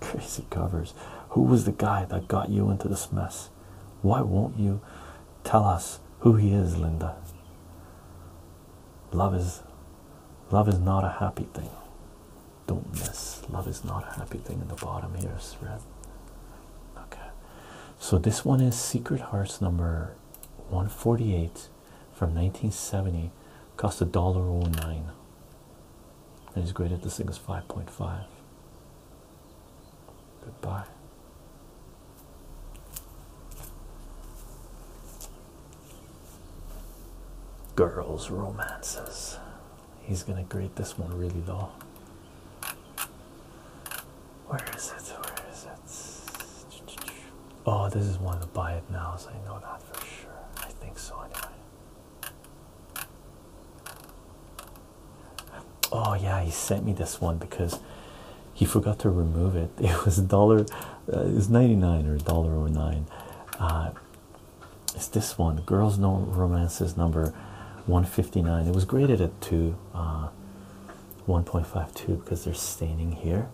Crazy covers. Who was the guy that got you into this mess? Why won't you tell us who he is, Linda? Love is love is not a happy thing. Don't miss. Love is not a happy thing in the bottom here, red. Okay. So this one is Secret Hearts number 148 from 1970. Cost a dollar oh nine. And he's graded this thing as 5.5. Goodbye. Girls' romances. He's gonna grade this one really low. Where is it? Where is it? Oh, this is one to buy it now, so I know that for sure. I think so, anyway. Oh, yeah, he sent me this one because he forgot to remove it. *laughs* It was dollar, uh, is 99 or a dollar or oh nine. Uh, it's this one, Girls know Romances number 159. It was graded at two. Uh, 1.52 because they're staining here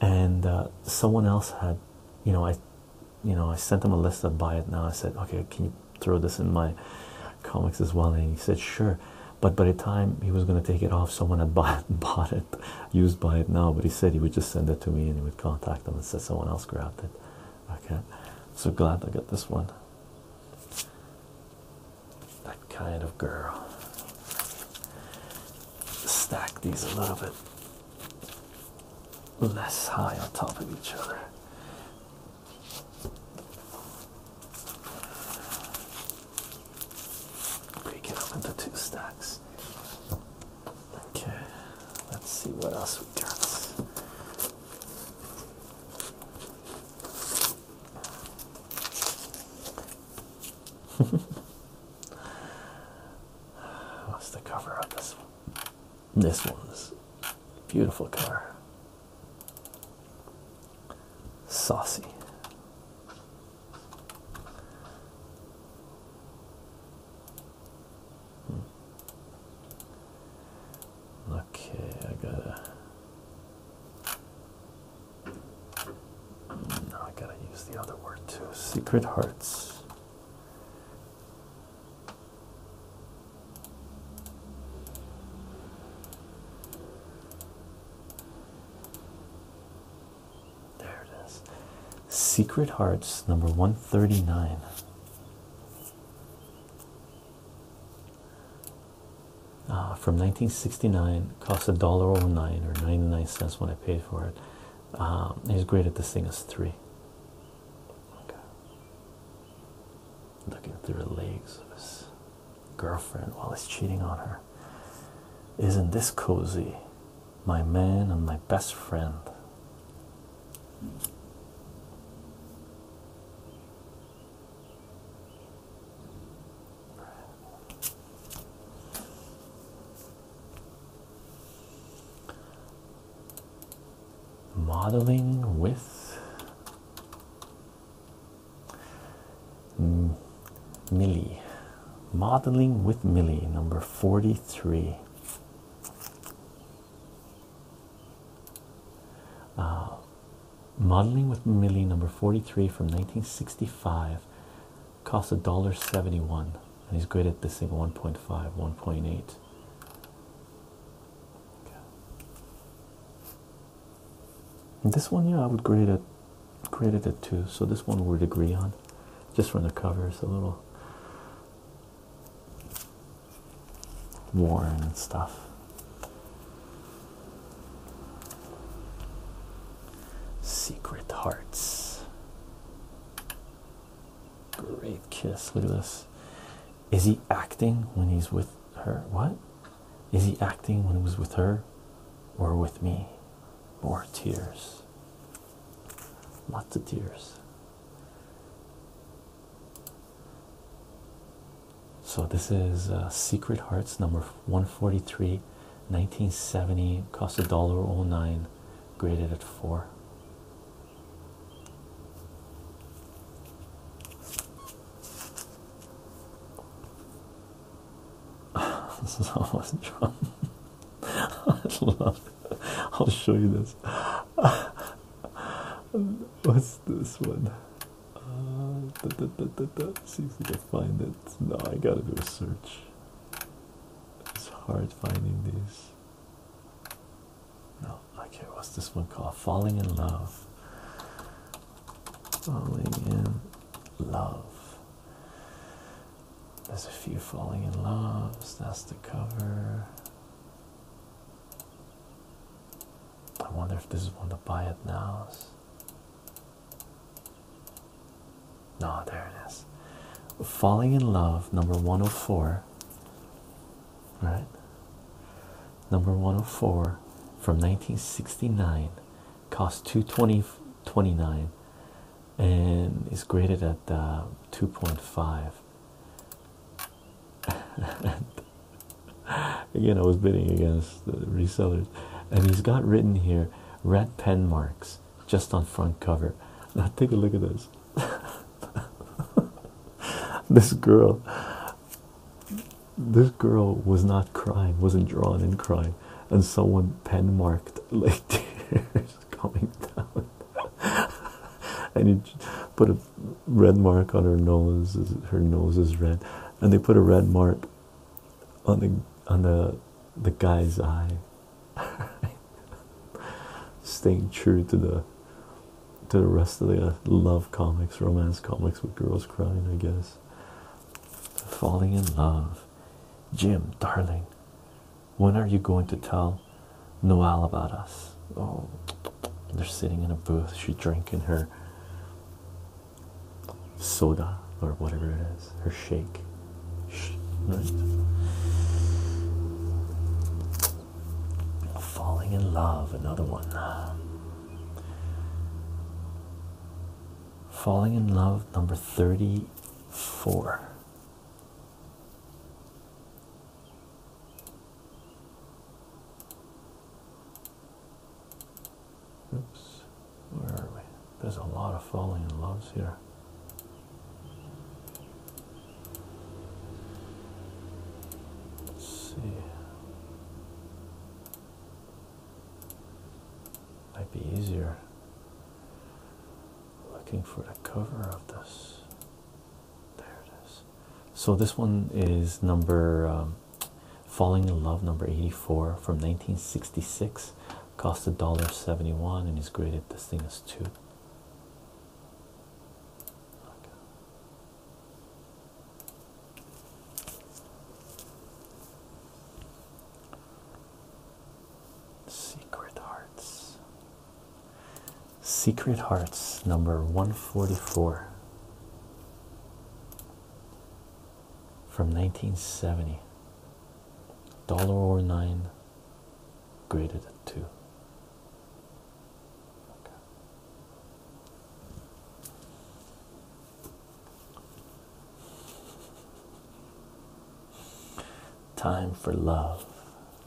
and uh, someone else had you know i you know i sent them a list of buy it now i said okay can you throw this in my comics as well and he said sure but by the time he was going to take it off someone had *laughs* bought, bought it used buy it now but he said he would just send it to me and he would contact them and say someone else grabbed it okay so glad i got this one that kind of girl. Stack these a little bit less high on top of each other. Break it up into two stacks. Okay, let's see what else we got. *laughs* What's the cover of this one? This one's beautiful color. Saucy. Hmm. Okay, I gotta now I gotta use the other word too. Secret hearts. There it is. Secret Hearts number 139. Uh, from 1969 cost a dollar oh nine or 99 cents when I paid for it. Um, he's graded this thing as three. Looking through the legs of his girlfriend while he's cheating on her. Isn't this cozy? My man and my best friend. Modeling with Millie. Modeling with Millie, number 43. Uh, Modeling with Millie, number 43 from 1965, costs $1.71, and he's graded this thing 1.5, 1.8. this one, yeah, I would grade it, graded it two. So this one we would agree on, just from the cover, it's a little worn and stuff. Secret Hearts. Great kiss. Look at this. Is he acting when he's with her? What? Is he acting when he was with her or with me? More tears. Lots of tears. So this is uh, Secret Hearts number 143, 1970, cost a dollar oh nine, graded at four. *laughs* this is almost John. *laughs* I love it. I'll show you this. *laughs* What's this one? Uh, da, da, See if we can find it. No, I gotta do a search. It's hard finding these. No, okay, what's this one called? Falling in Love. Falling in Love. There's a few Falling in Loves. That's the cover. I wonder if this is one to buy it now. No, there it is. Falling in Love, number 104. Right? Number 104 from 1969. Cost 220 29 and is graded at uh, 2.5. *laughs* Again, *laughs* I was bidding against the resellers, and he's got written here red pen marks just on front cover. Now, take a look at this. *laughs* this girl, this girl was not crying, wasn't drawn in crying, and someone pen marked *laughs* like tears coming down. and he put a red mark on her nose, her nose is red, and they put a red mark on the on the the guy's eye *laughs* staying true to the to the rest of the uh, love comics romance comics with girls crying i guess falling in love jim darling when are you going to tell noel about us oh they're sitting in a booth she's drinking her soda or whatever it is, her shake. Falling in love, another one. Falling in love, number 34. Oops, where are we? There's a lot of falling in loves here. Let's see. Might be easier looking for the cover of this. There it is. So this one is number um, Falling in Love number 84 from 1966 cost a dollar 71 and is graded this thing as two. Secret Hearts. Secret Hearts number 144 from 1970 dollar or nine graded at two okay. Time for Love,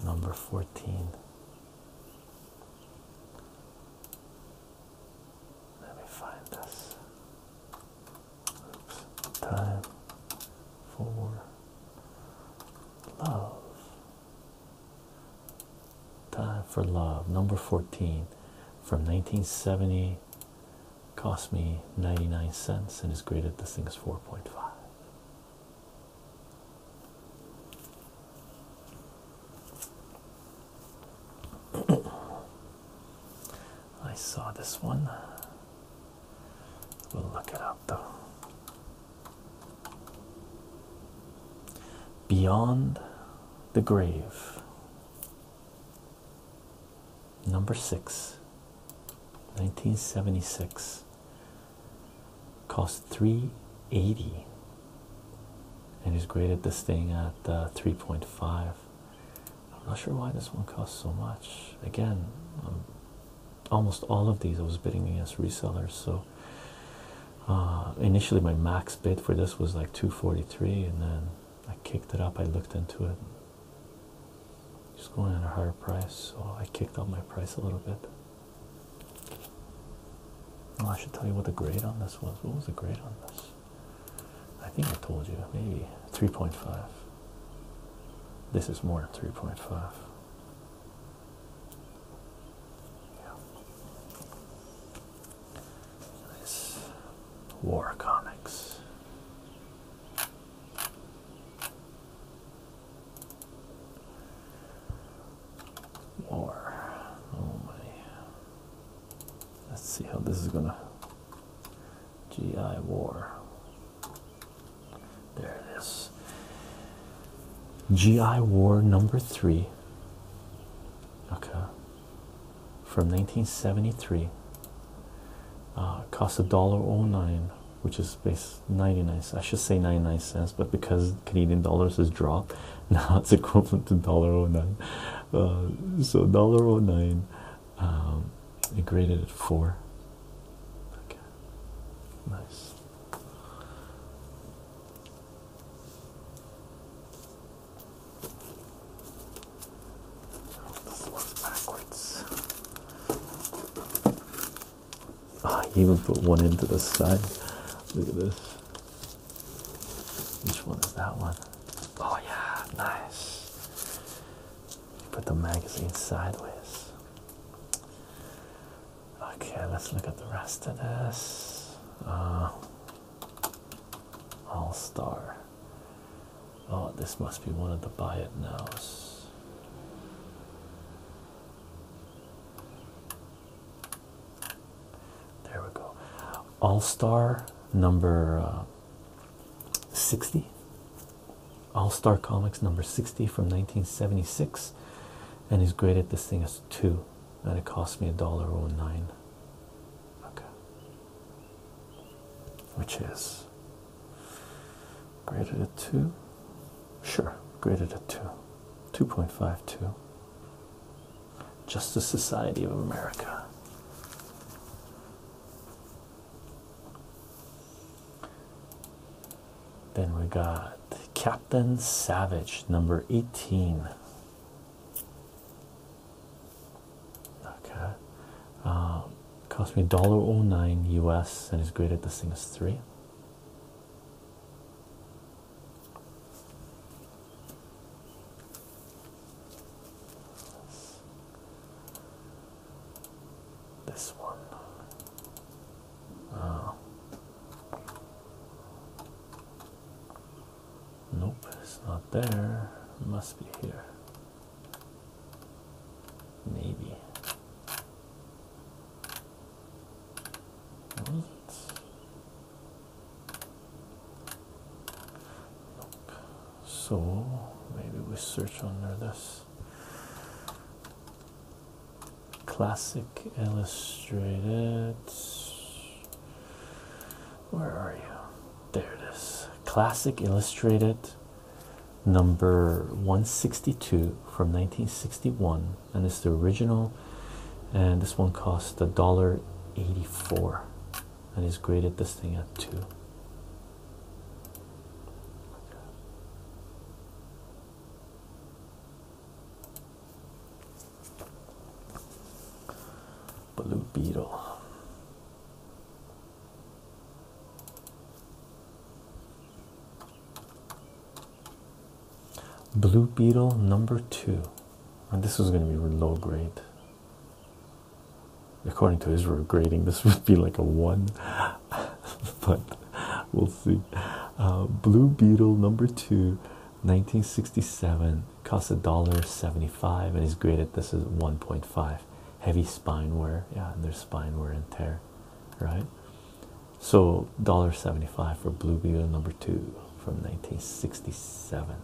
number 14. Let me find this. Oops. Time for love. Time for love, number 14 from 1970. Cost me 99 cents and is graded. This thing is 4.5. *clears throat* I saw this one. We'll look it up though. Beyond the Grave, number six, 1976, cost 380 and he's graded this thing at uh, 3.5 I'm not sure why this one costs so much. Again, um, almost all of these I was bidding against resellers. So uh, initially, my max bid for this was like 243, and then I kicked it up. I looked into it, just going at a higher price. So I kicked up my price a little bit. Well, I should tell you what the grade on this was. What was the grade on this? I think I told you maybe 3.5. This is more than 3.5. Yeah. Nice. War comics. War. Oh my. Let's see how this is gonna GI War. There it is. GI War number three. Okay. From 1973. Uh, cost a dollar oh nine, which is based 99 cents. I should say 99 cents, but because Canadian dollars has dropped, *laughs* now it's equivalent to dollar oh nine. Uh, so dollar oh nine um, it graded at four. Okay, nice. Backwards. Ah, even put one end to the side. Look at this. Which one is that one? Oh yeah, nice. Put the magazine sideways. Okay, let's look at the rest of this. Uh, All Star. Oh, this must be one of the buy it nows. There we go. All Star number uh, 60 all star comics number 60 from 1976 and he's graded this thing as two and it cost me a dollar oh nine okay which is graded at two sure graded at two 2.52 justice society of america then we got Captain Savage, number 18. Okay, um, cost me $1.09 US and is graded. the thing is three. This one. Oh. Nope, it's not there. It must be here. Maybe. What? so maybe we search under this classic illustrated where are you there it is classic illustrated number 162 from 1961 and it's the original and this one costs a dollar 84 and he's graded this thing at two. Blue beetle. Blue beetle number two, and this is going to be low grade. According to Israel grading, this would be like a one, *laughs* but we'll see. Uh, Blue Beetle number two, 1967, costs a dollar 75 and is graded. This is 1.5. Heavy spine wear, yeah, and spine wear and tear, right? So $1.75 for Blue Beetle number two from 1967.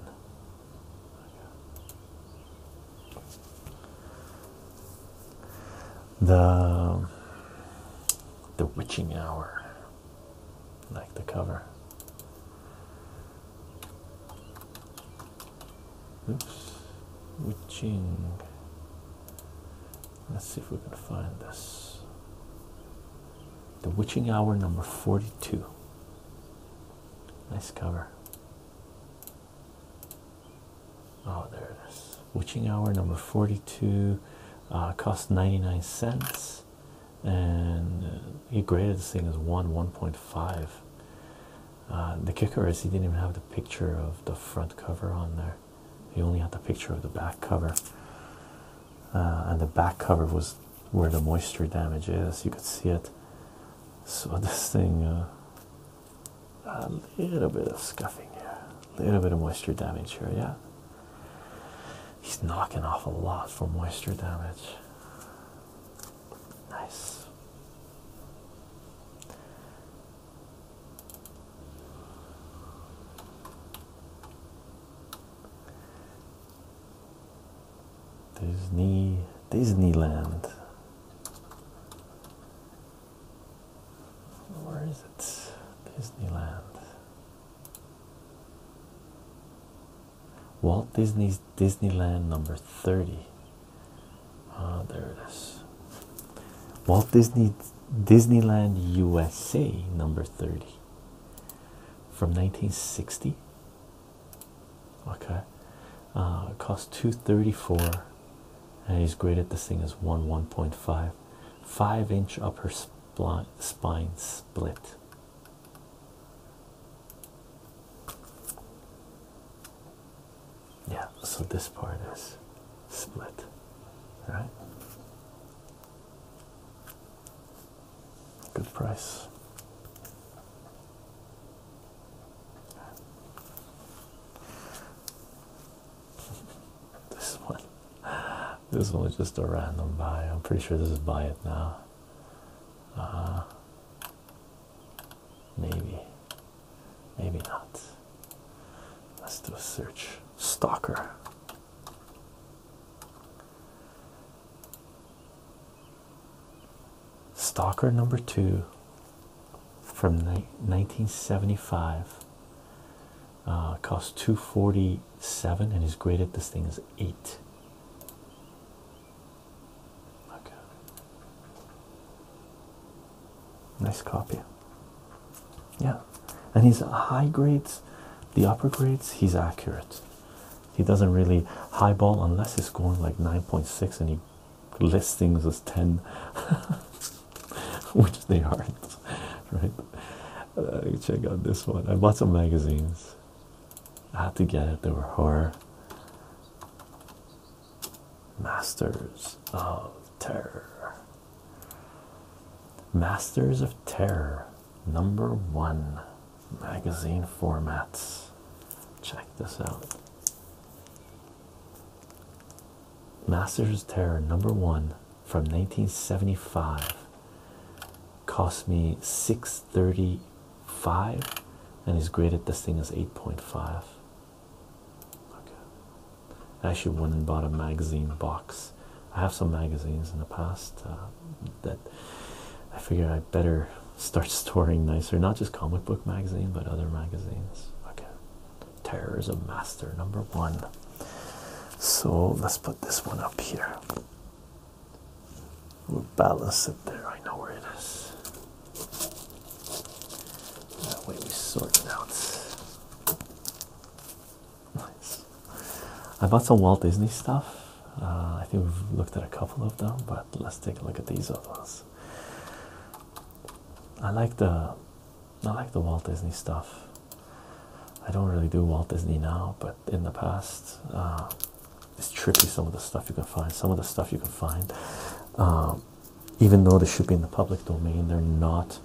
The the witching hour, like the cover. Oops, witching. Let's see if we can find this. The Witching Hour number 42. Nice cover. Oh, there it is. Witching hour number 42 uh, cost 99 cents, and he uh, graded this thing as 1 1.5. Uh, the kicker is he didn't even have the picture of the front cover on there, he only had the picture of the back cover. and the back cover was where the moisture damage is. You could see it so this thing, uh, a little bit of scuffing here, a little bit of moisture damage here. Yeah, he's knocking off a lot for moisture damage. Nice. Disney Disneyland. Where is it? Disneyland. Walt Disney's Disneyland number 30. Ah, there it is. Walt Disney's Disneyland USA number 30 from 1960 okay uh, it costs 234 and he's graded this thing as 1 1.5 5 inch upper spine split yeah so this part is split right? good price *laughs* this one this one was just a random buy i'm pretty sure this is buy it now uh-huh. maybe maybe not let's do a search stalker Stalker number two from 1975 uh, costs 247 and is graded this thing is eight. Okay. Nice copy. Yeah. And he's high grades, the upper grades, he's accurate. He doesn't really highball unless he's scoring like 9.6 and he listings as 10 *laughs* which they aren't right uh, check out this one i bought some magazines i had to get it they were horror masters of terror masters of terror number one magazine formats check this out Masters of Terror number one from 1975 cost me 635 and is graded this thing as 8.5. Okay. I actually went and bought a magazine box. I have some magazines in the past uh, that I figured I better start storing nicer, not just comic book magazine, but other magazines. Okay, Terrorism Master number one. So let's put this one up here. We'll balance it there. I know where it is. That way we sort it out. Nice. I bought some Walt Disney stuff. Uh, I think we've looked at a couple of them, but let's take a look at these other ones. I like the I like the Walt Disney stuff. I don't really do Walt Disney now, but in the past, uh, it's trippy. Some of the stuff you can find, some of the stuff you can find, um, even though they should be in the public domain, they're not.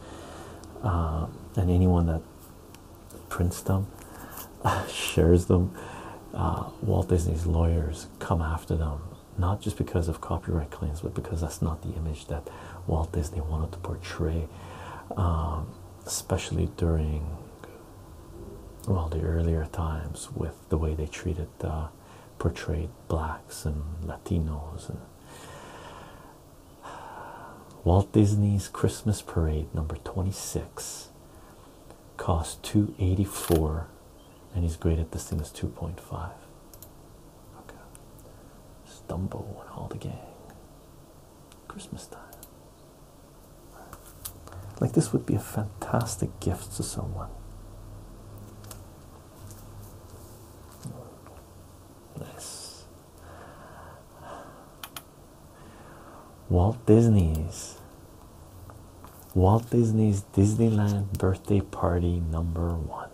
Uh, and anyone that prints them, *laughs* shares them. Uh, Walt Disney's lawyers come after them not just because of copyright claims, but because that's not the image that Walt Disney wanted to portray, um, especially during well the earlier times with the way they treated uh, portrayed blacks and Latinos and. Walt Disney's Christmas Parade number 26 cost 284 and he's graded this thing as 2.5. Okay, Stumbo and all the gang. Christmas time. Like, this would be a fantastic gift to someone. Nice. Walt Disney's Walt Disney's Disneyland birthday party number one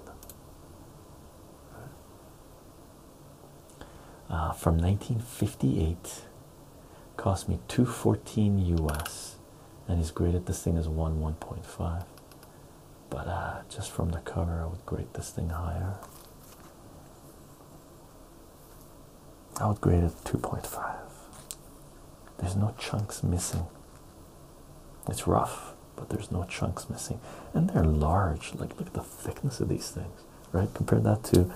uh, from 1958 cost me 214 US and he's graded this thing as 1 1.5 but uh, just from the cover I would grade this thing higher I would grade it 2.5 there's no chunks missing. It's rough, but there's no chunks missing. And they're large. Like, look at the thickness of these things, right? Compare that to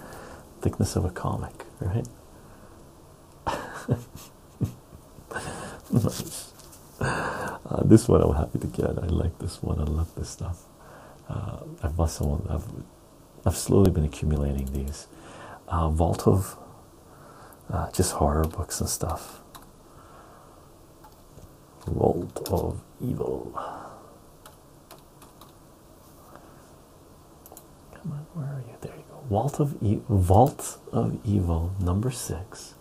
thickness of a comic, right? nice. *laughs* Uh, this one I'm happy to get. I like this one. I love this stuff. Uh, I've bought someone. I've, slowly been accumulating these. Uh, Vault of uh, just horror books and stuff. Vault of Evil. Come on, where are you? There you go. Vault of Vault of Evil, number six.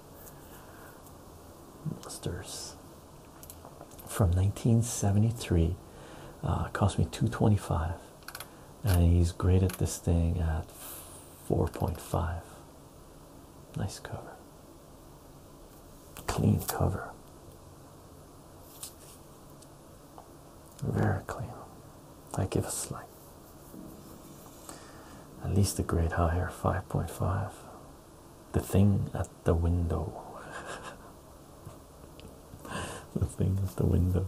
Monsters from 1973. Uh, cost me 225, and he's great at this thing at 4.5. Nice cover. Clean cover. Very clean. I give a slight. At least a grade higher, 5.5. The thing at the window. *laughs* the thing at the window.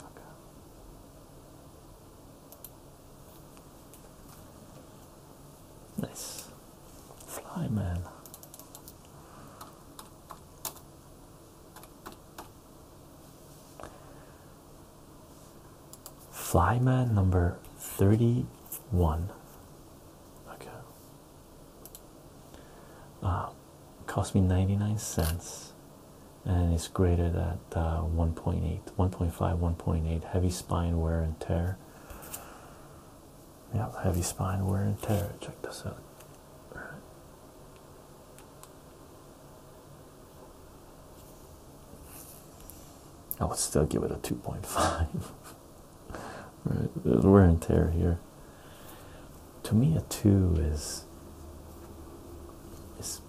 Okay. Nice. Fly man. Flyman number 31. Okay. Uh, cost me 99 cents and it's graded at uh, 1.8 1.5 1.8 heavy spine wear and tear yeah heavy spine wear and tear check this out I would still give it a 2.5. *laughs* right, wear and tear here to me a two is is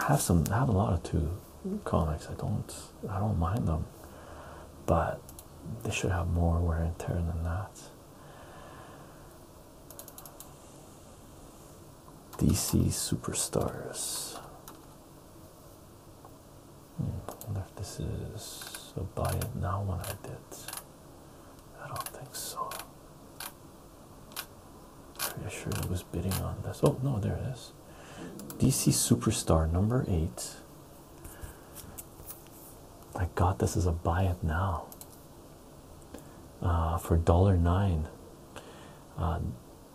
have some have a lot of two comics. I don't I don't mind them, but they should have more wear and tear than that. DC superstars. Hmm, I wonder if this is a buy it now one I did. I don't think so. Pretty sure I was bidding on this. Oh no, there it is. DC Superstar number eight. My God, this is a buy it now. Uh, for dollar nine. Uh,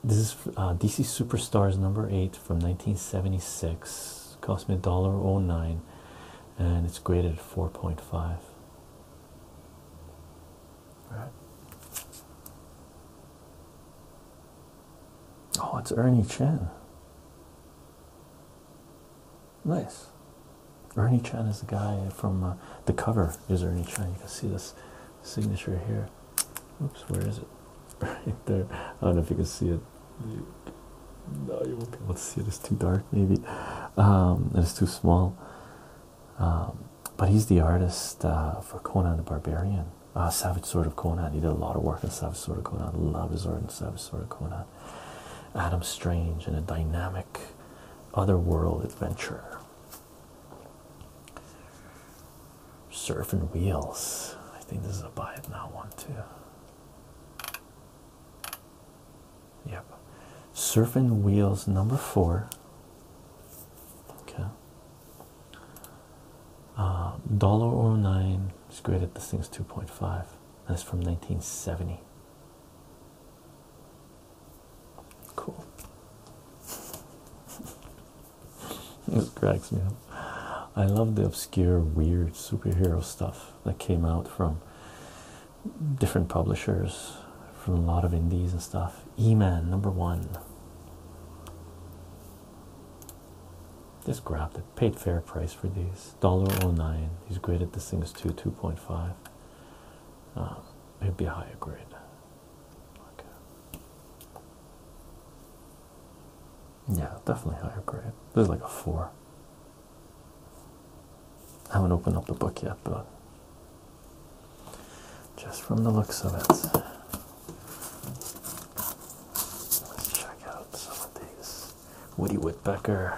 this is uh, DC Superstars number eight from 1976. Cost me a dollar oh nine, and it's graded at 4.5. Oh, it's Ernie Chen. Nice. Ernie Chen is the guy from uh, the cover. Is Ernie Chen? You can see this signature here. Oops, where is it? *laughs* Right there. I don't know if you can see it. You, no, you won't be able to see it. It's too dark, maybe. Um, and it's too small. Um, but he's the artist uh, for Conan the Barbarian, uh, Savage Sword of Conan. He did a lot of work on Savage Sword of Conan. Love his work on Savage Sword of Conan. Adam Strange and a dynamic otherworld adventure. Surfing Wheels. I think this is a buy now one too. Yep. Surfing Wheels number four. Okay. Uh, dollar or oh nine is graded. This thing's 2.5. That's from 1970. Cool. *laughs* this cracks me up. I love the obscure, weird superhero stuff that came out from different publishers from a lot of indies and stuff. E Man number one. Just grabbed it. Paid fair price for these. $1.09. He's graded this thing as two, 2.5. Uh, um, it'd be a higher grade. Yeah, definitely higher grade. This is like a four. I haven't opened up the book yet, but just from the looks of it, let's check out some of these. Woody Whitbecker,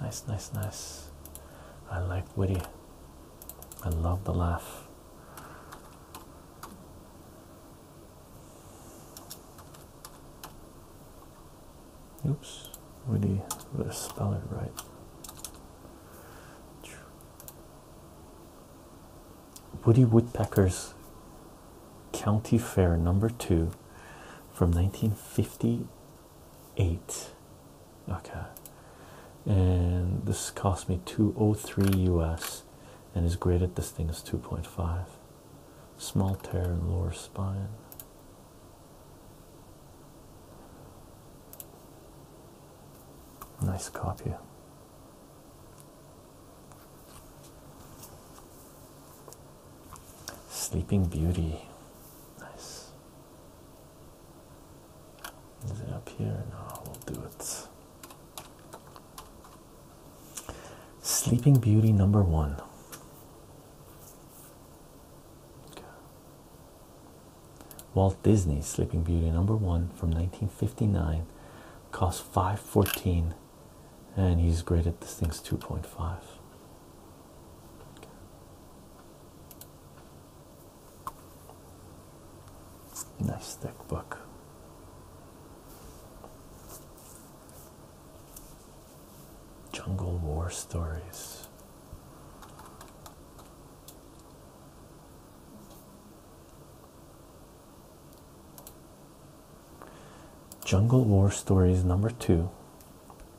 nice, nice, nice. I like Woody, I love the laugh. Oops, Woody, better spell it right. Woody Woodpecker's County Fair number two from 1958. Okay, and this cost me 203 US and is graded. This thing is 2.5. Small tear in lower spine. Nice copy. Sleeping Beauty. Nice. Is it up here? No, we'll do it. Sleeping Beauty number one. Okay. Walt Disney's Sleeping Beauty number one from 1959 cost 514 and he's graded this thing's 2.5 Nice thick book. Jungle War Stories. Jungle War Stories number two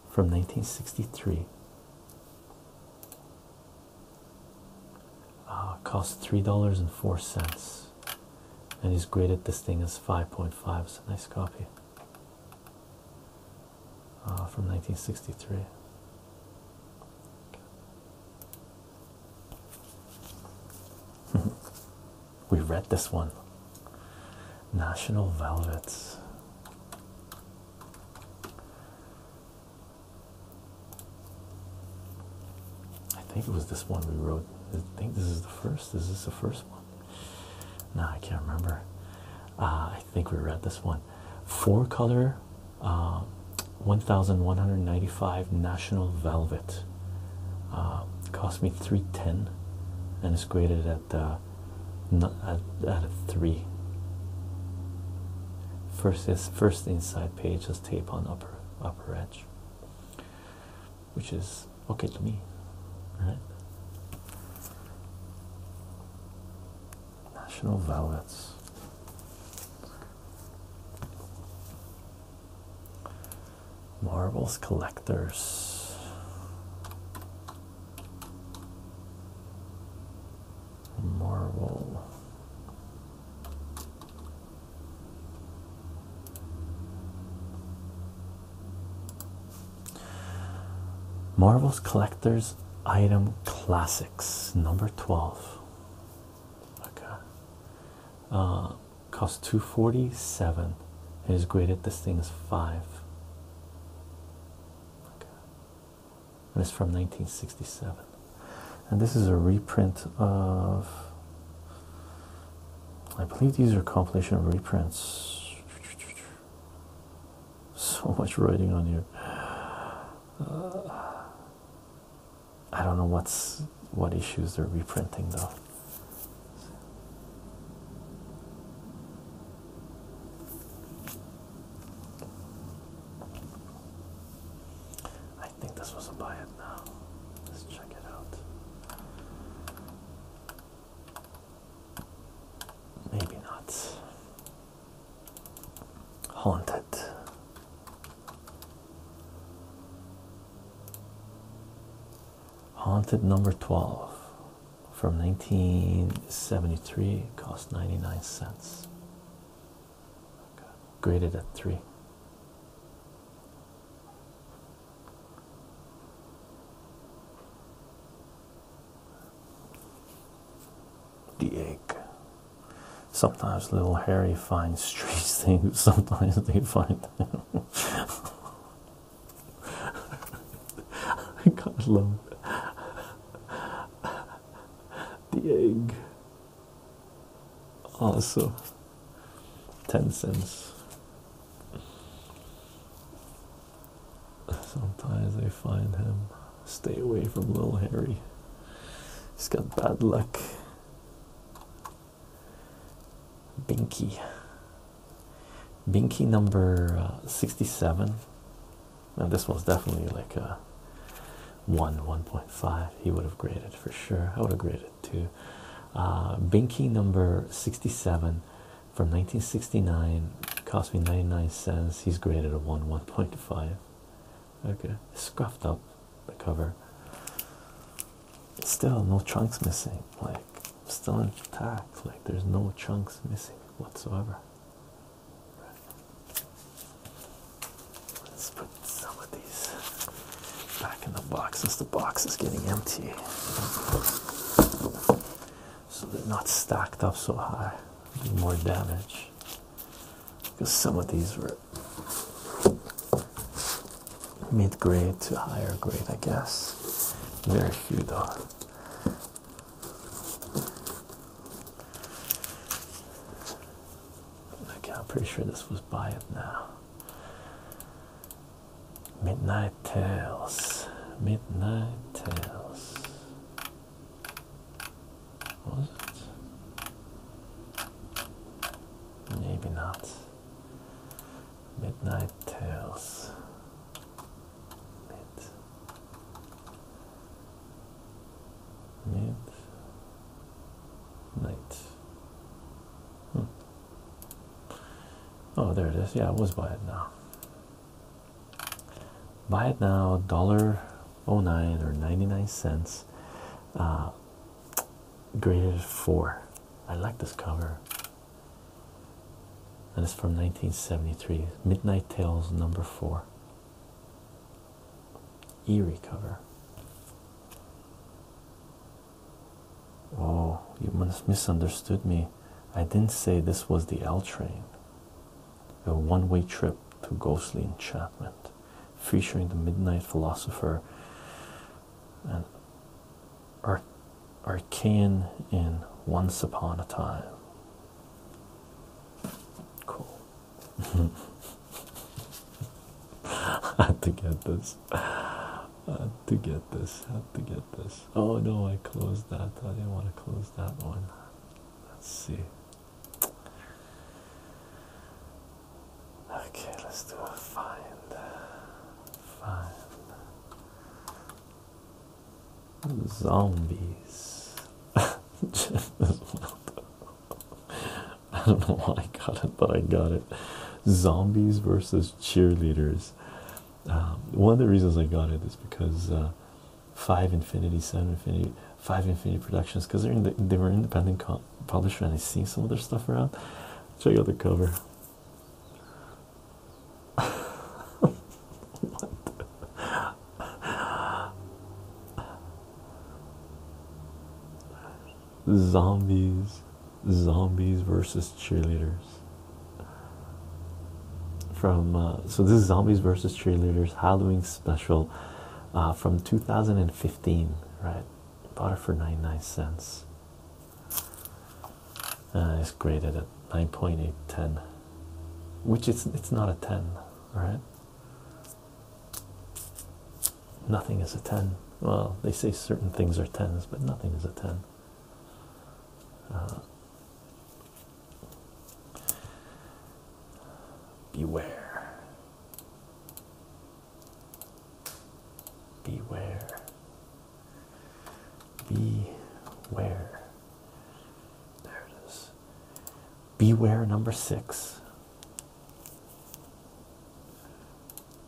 from 1963. Ah, cost three dollars and four cents, and he's graded this thing as 5.5. It's a nice copy. Ah, from 1963. *laughs* we read this one National Velvets. I think it was this one we wrote. I think this is the first. Is this the first one? No, I can't remember. Uh, think we read this one four color uh, 1195 national velvet uh, cost me 310 and it's graded at uh, not at, at a three first is first inside page has tape on upper upper edge which is okay to me right National Velvets. Marbles Collectors. Marvel. Marvel's Collectors Item Classic number 12. Okay. Uh, cost 247. It is graded this thing is five. Okay. And it's from 1967. And this is a reprint of I believe these are compilation reprints. *sighs* So much writing on here. Uh, I don't know what's what issues they're reprinting though. I think this was a buy it now. Let's check it out. Maybe not. Haunted. Haunted number 12 from 1973 cost 99 cents. Graded at 3 the egg. Sometimes little hairy finds trees *laughs* things, sometimes they find him. *laughs* I gotta love The egg. Also, 10 cents. Sometimes they find him. Stay away from little Harry. He's got bad luck. Binky. Binky number uh, 67. Now this one's definitely like a 1, 1.5. He would have graded for sure. I would have graded too. Uh, Binky number 67 from 1969 cost me 99 cents. He's graded a 1, 1.5. Okay, scuffed up the cover. Still, no chunks missing. Like, still intact. Like, there's no chunks missing whatsoever. Let's put some of these back in the box since the box is getting empty. So they're not stacked up so high, more damage because some of these were mid grade to higher grade, I guess. Very few, though. Okay, I'm pretty sure this was by it now. Midnight Tales. Midnight Tales. Was it? Maybe not. Midnight Tales. Mid. Mid. Night. Hmm. Oh, there it is. Yeah, I was by it now buy it now dollar oh nine or 99 cents uh, graded four i like this cover and it's from 1973 midnight tales number four eerie cover oh you misunderstood me i didn't say this was the l train a one-way trip to ghostly enchantment, featuring the midnight philosopher and Ar in Once Upon a Time. Cool. I *laughs* had to get this. I had to get this. I had to get this. Oh no, I closed that. I didn't want to close that one. Let's see. Okay, let's do a find. Uh, find. Zombies. *laughs* I don't know why I got it, but I got it. Zombies versus cheerleaders. Um, one of the reasons I got it is because uh, Five Infinity, Seven Infinity, Five Infinity Productions, because they're they were independent publisher, and I see some of their stuff around. Check out the cover. *laughs* Zombies, zombies versus cheerleaders. From uh, so this is zombies versus cheerleaders Halloween special, uh, from 2015, right? Bought it for 99 cents. Uh, it's graded at 9.810, which it's it's not a 10, right? Nothing is a 10. Well, they say certain things are 10s, but nothing is a 10. Uh, Beware. Beware. Beware. There it is. Beware number six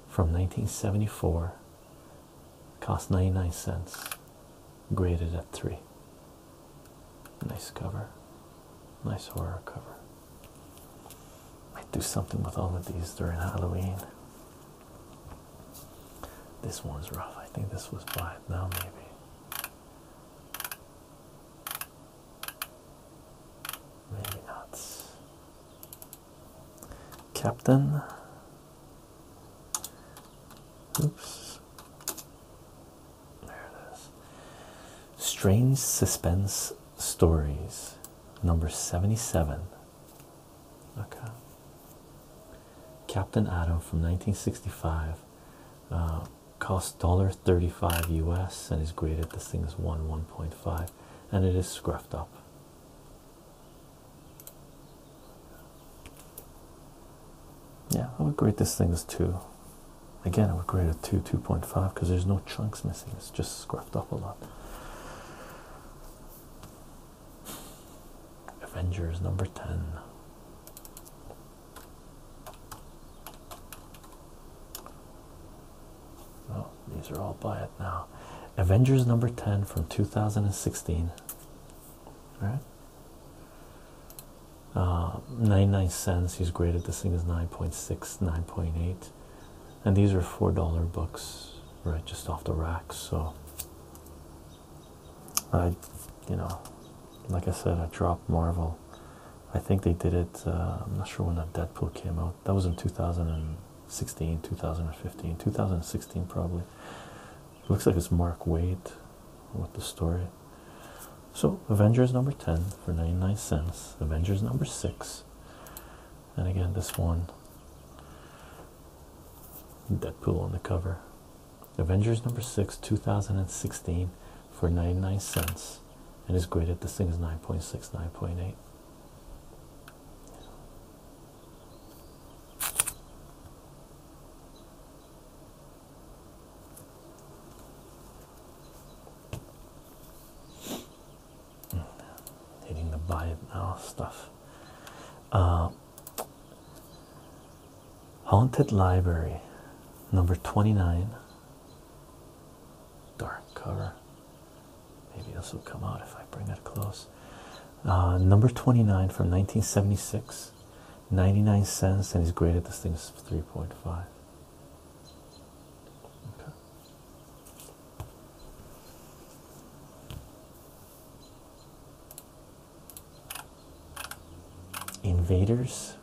from 1974. Cost 99 cents. Graded at three. Nice cover. Nice horror cover. Might do something with all of these during Halloween. This one's rough. I think this was black now, maybe. Maybe not. Captain. Oops. There it is. Strange Suspense Stories, number 77. Okay. Captain Adam from 1965. Uh, cost $1.35 US and is graded. This thing is 1 1.5 and it is scruffed up. Yeah, I would grade this thing as two. Again, I would grade it two, two point five, because there's no chunks missing. It's just scruffed up a lot. Avengers number ten. Oh, these are all by it now. Avengers number ten from two thousand and sixteen. Right uh, 99 cents. He's graded this thing as nine point six, nine point eight, and these are four dollar books, right? Just off the rack. So, I, you know, like I said, I dropped Marvel. I think they did it. Uh, I'm not sure when that Deadpool came out. That was in 2016, 2015, 2016 probably. Looks like it's Mark Wade with the story. So Avengers number 10 for 99 cents, Avengers number 6, and again this one Deadpool on the cover. Avengers number 6, 2016 for 99 cents, and is graded this thing is 9.6, 9.8. Hitting the buy it now oh, stuff. Uh, Haunted Library, number 29. Dark cover. Maybe this will come out if I bring it close. Uh, number 29 from 1976, 99 cents, and he's graded this thing as 3.5. Invaders.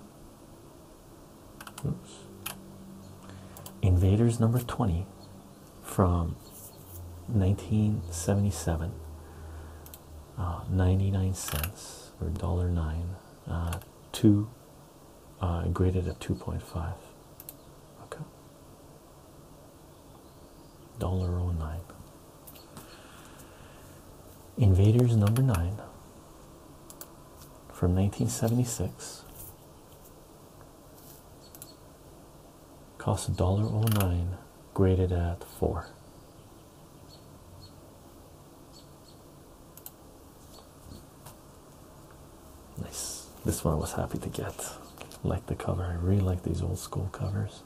Invaders number 20 from 1977. Uh, 99 cents or dollar nine, uh, two uh, graded at 2.5 okay dollar 09 invaders number 9 from 1976 cost $1.09 graded at 4 Nice. This one I was happy to get. Like the cover. I really like these old school covers.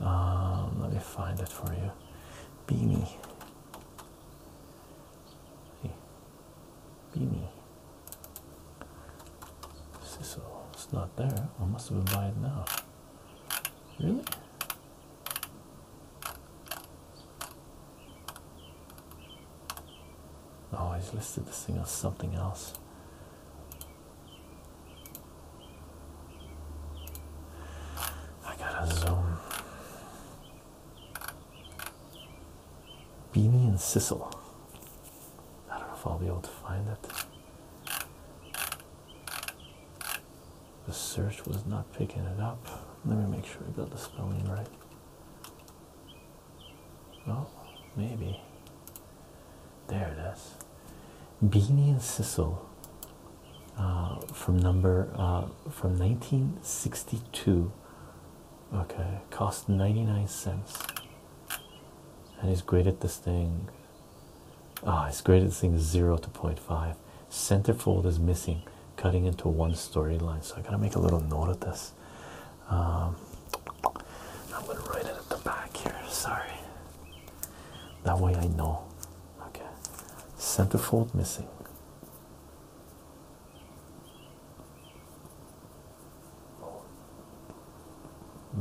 Um, let me find it for you. Beanie. Beanie. So it's not there. I must have been buying now. Really? Oh, he's listed this thing as something else. I gotta zoom. Beanie and Sissel. I don't know if I'll be able to find it. The search was not picking it up. Let me make sure I got the spelling right. Oh, maybe. There it is. Beanie and Sissel uh, from number uh, from 1962. Okay, cost 99 cents. And he's great at this thing. Ah, oh, he's graded this thing 0 to 0.5. Center fold is missing cutting into one storyline so i gotta make a little note of this um, i'm gonna write it at the back here sorry that way i know okay fold missing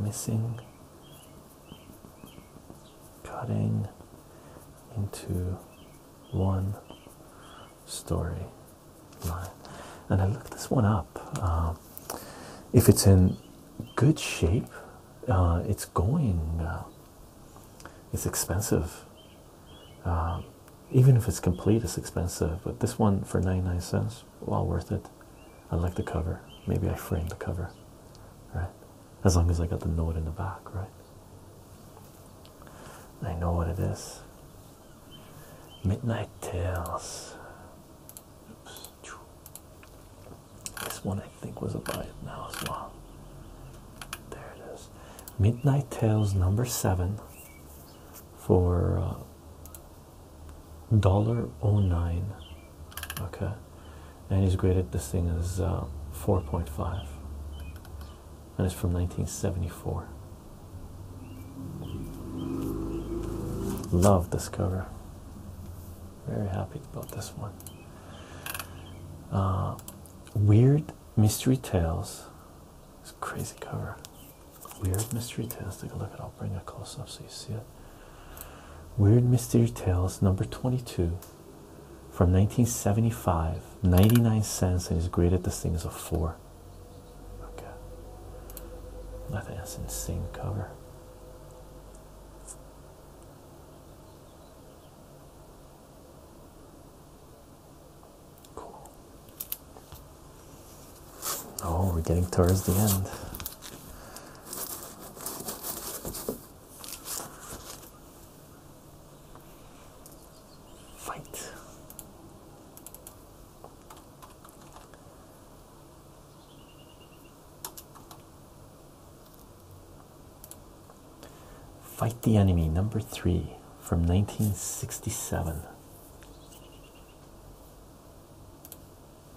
missing cutting into one story line. And I looked this one up. Um, if it's in good shape, uh, it's going, uh, it's expensive. Um, even if it's complete, it's expensive. But this one for 99 cents, well worth it. I like the cover. Maybe I frame the cover, right? As long as I got the note in the back, right? I know what it is. Midnight Tales. This one I think was about now as well. There it is. Midnight Tales number seven for uh, dollar oh nine. Okay, and he's graded this thing as uh, four point five and it's from 1974. Love this cover. Very happy about this one. Uh, Weird Mystery Tales. It's a crazy cover. Weird Mystery Tales. Take a look at I'll bring it close up so you see it. Weird Mystery Tales, number 22, from 1975 99 cents and he's graded this thing as a four okay I think that's insane cover cool oh we're getting towards the end Fight. Fight the Enemy, number three from 1967.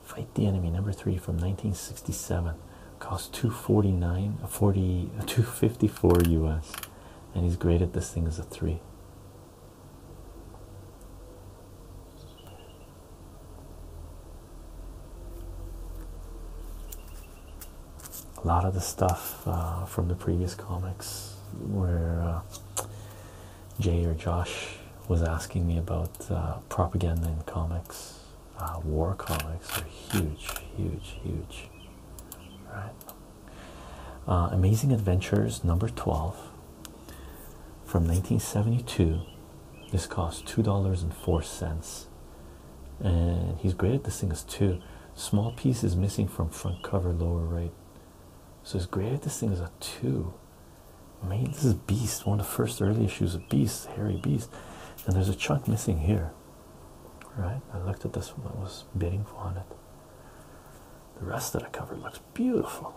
Fight the Enemy, number three from 1967. Cost 249 254 US and he's graded this thing as a three. A lot of the stuff uh, from the previous comics where uh, Jay or Josh was asking me about uh, propaganda in comics. war comics are huge, huge, huge, right? Uh, Amazing Adventures number 12 from 1972. This cost $2.04. And he's graded this thing as two. Small piece is missing from front cover, lower right. So he's graded this thing as a two. Man, this is Beast, one of the first early issues of Beast, Harry Beast. And there's a chunk missing here. Right, I looked at this one I was bidding on it. The rest of the cover looks beautiful.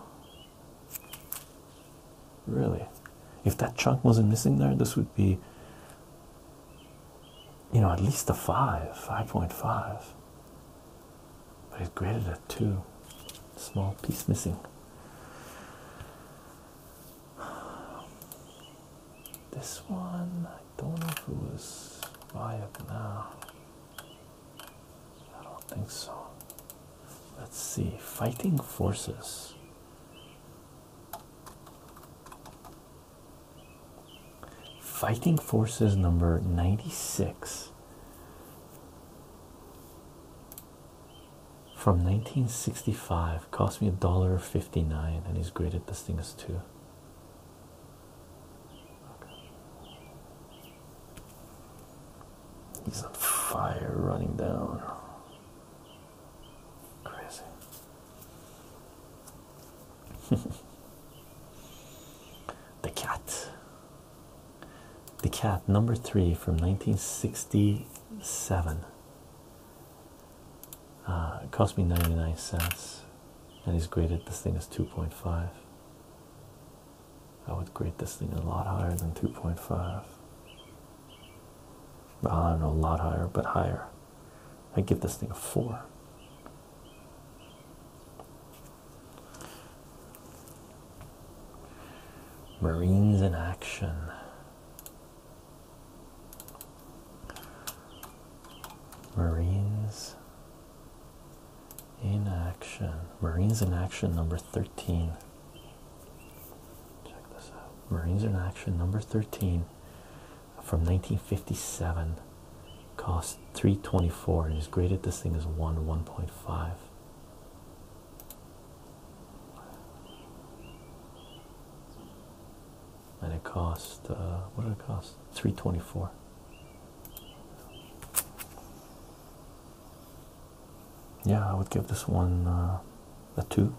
Really, if that chunk wasn't missing there, this would be, you know, at least a five, five point five. But it graded at two. Small piece missing. This one, I don't know if it was Viac now. I don't think so. Let's see. Fighting Forces. Fighting Forces number 96 from 1965. Cost me a dollar 59 and he's graded this thing as two. He's on fire running down. Crazy. *laughs* the Cat. The Cat, number three from 1967. Uh, it cost me 99 cents, and he's graded this thing as 2.5. I would grade this thing a lot higher than 2.5. I don't know, a lot higher, but higher. I give this thing a 4. Marines in action. Marines in action. Marines in action number 13. Check this out. Marines in action number 13 from 1957. Cost 324 and is graded this thing as 1 1.5 and it cost uh, what did it cost 324 yeah i would give this one uh, a 2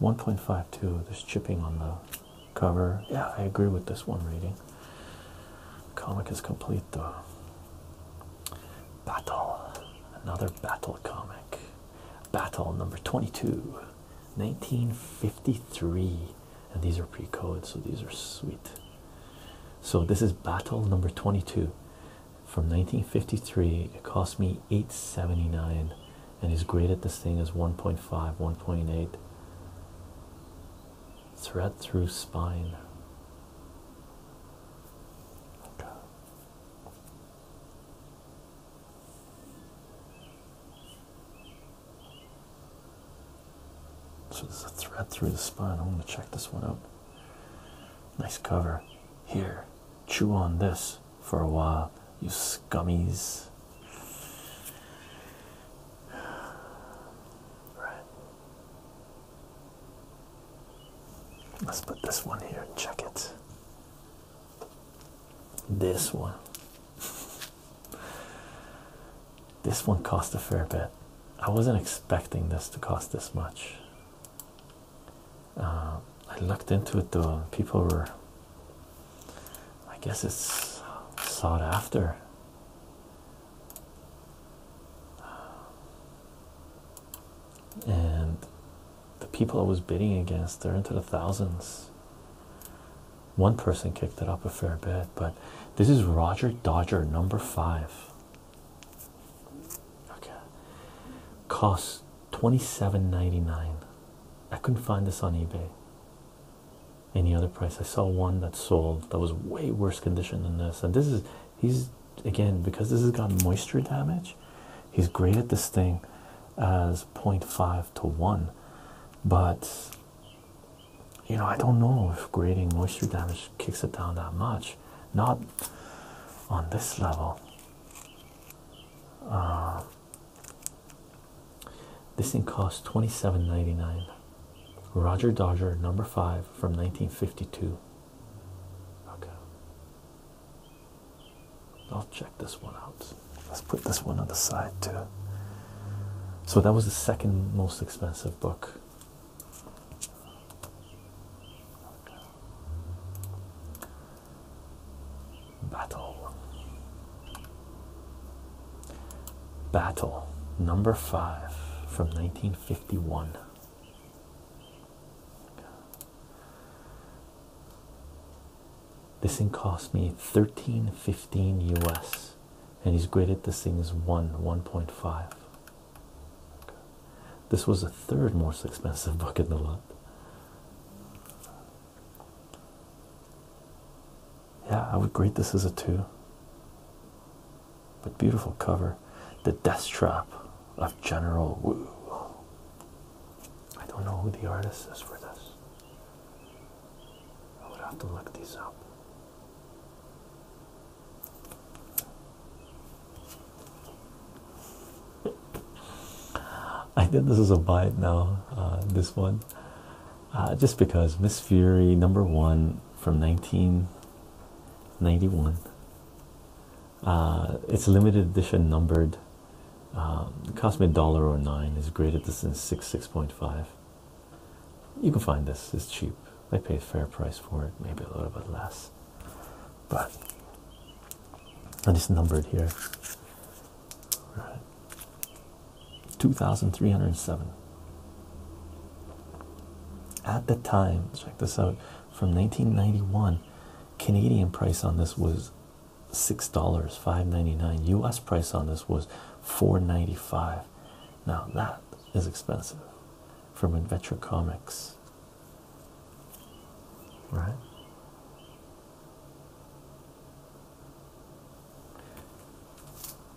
1.52 there's chipping on the cover yeah i agree with this one reading comic is complete though battle another battle comic battle number 22 1953 and these are pre coded so these are sweet so this is battle number 22 from 1953 it cost me 879 and he's graded this thing as 1.5 1.8 thread through spine so there's a thread through the spine. I'm going to check this one out. Nice cover. Here, chew on this for a while, you scummies. Right. Let's put this one here and check it. This one. This one cost a fair bit. I wasn't expecting this to cost this much. Uh, I looked into it though, people were. I guess it's sought after. And the people I was bidding against, they're into the thousands. One person kicked it up a fair bit, but this is Roger Dodger number five. Okay, costs 27 I couldn't find this on eBay. Any other price? I saw one that sold that was way worse condition than this. And this is he's again because this has got moisture damage, he's great at this thing as 0.5 to 1. But you know, I don't know if grading moisture damage kicks it down that much, not on this level. Uh, this thing costs twenty-seven ninety-nine. Roger Dodger, number five from 1952. Okay, I'll check this one out let's put this one on the side too. So that was the second most expensive book. Battle. Battle number five from 1951. This thing cost me 1315 US and he's graded this thing as 1 1.5 this was the third most expensive *laughs* book in the lot yeah i would grade this as a 2 but beautiful cover the death trap of general Wu. i don't know who the artist is for this I would have to look these up. *laughs* I think this is a bite now. Uh, this one, uh, just because Miss Fury number one from 1991. Uh, it's limited edition, numbered. cost me a dollar or oh nine. Is graded this in six six point five. You can find this, it's cheap. I paid fair price for it, maybe a little bit less. But and it's numbered here. Right. 2307. At the time, check this out, from 1991, Canadian price on this was $6, 5.99. US price on this was 495 now that is expensive from adventure comics right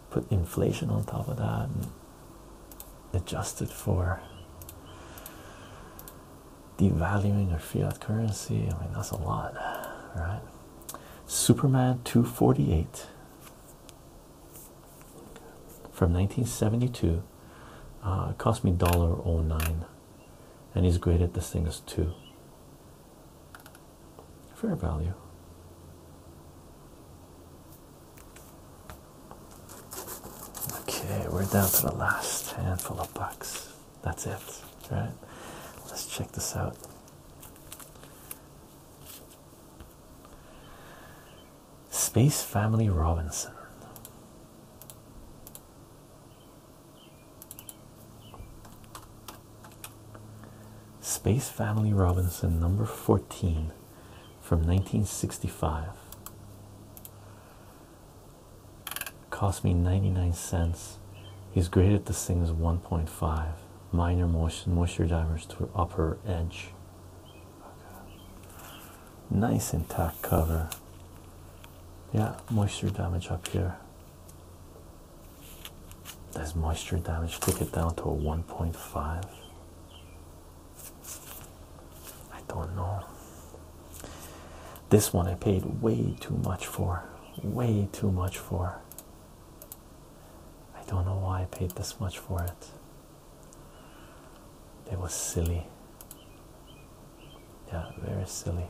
put inflation on top of that and adjust it for devaluing your fiat currency i mean that's a lot right Superman 248 from 1972 uh, cost me $1.09 and he's graded this thing as 2 fair value okay we're down to the last handful of bucks that's it right let's check this out Space Family Robinson. Space Family Robinson, number 14 from 1965. Cost me 99 cents. He's graded the thing as 1.5 minor moisture, moisture divers to upper edge. Nice intact cover. Yeah, moisture damage up here. There's moisture damage. Take it down to a 1.5. I don't know. This one I paid way too much for. Way too much for. I don't know why I paid this much for it. It was silly. Yeah, very silly.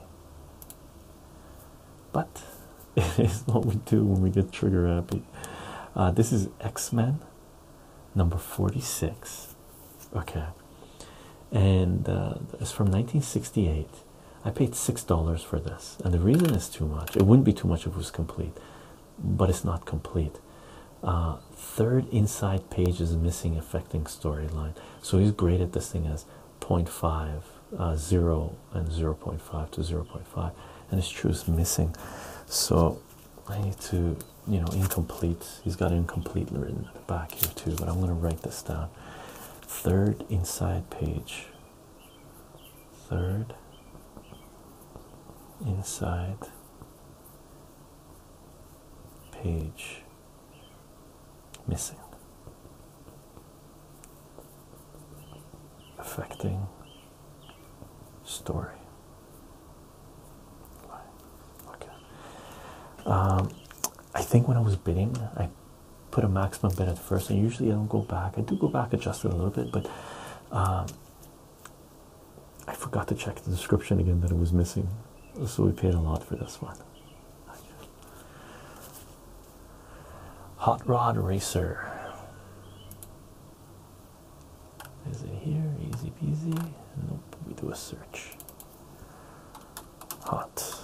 But *laughs* it is what we do when we get trigger happy. Uh, this is X Men number 46. Okay. And uh, it's from 1968. I paid six dollars for this, and the reason is too much. It wouldn't be too much if it was complete, but it's not complete. Uh, third inside page is missing, affecting storyline. So he's graded this thing as 0.5, uh, 0, and 0.5 to 0.5, and it's true it's missing. So I need to, you know, incomplete. He's got incomplete written back here too, but I'm going to write this down. Third inside page third inside page missing affecting story okay um, I think when I was bidding I put a maximum bid at first, and usually I don't go back. I do go back, adjust it a little bit, but um, I forgot to check the description again that it was missing, so we paid a lot for this one. Hot Rod Racer. Is it here? Easy peasy. Nope. We do a search. Hot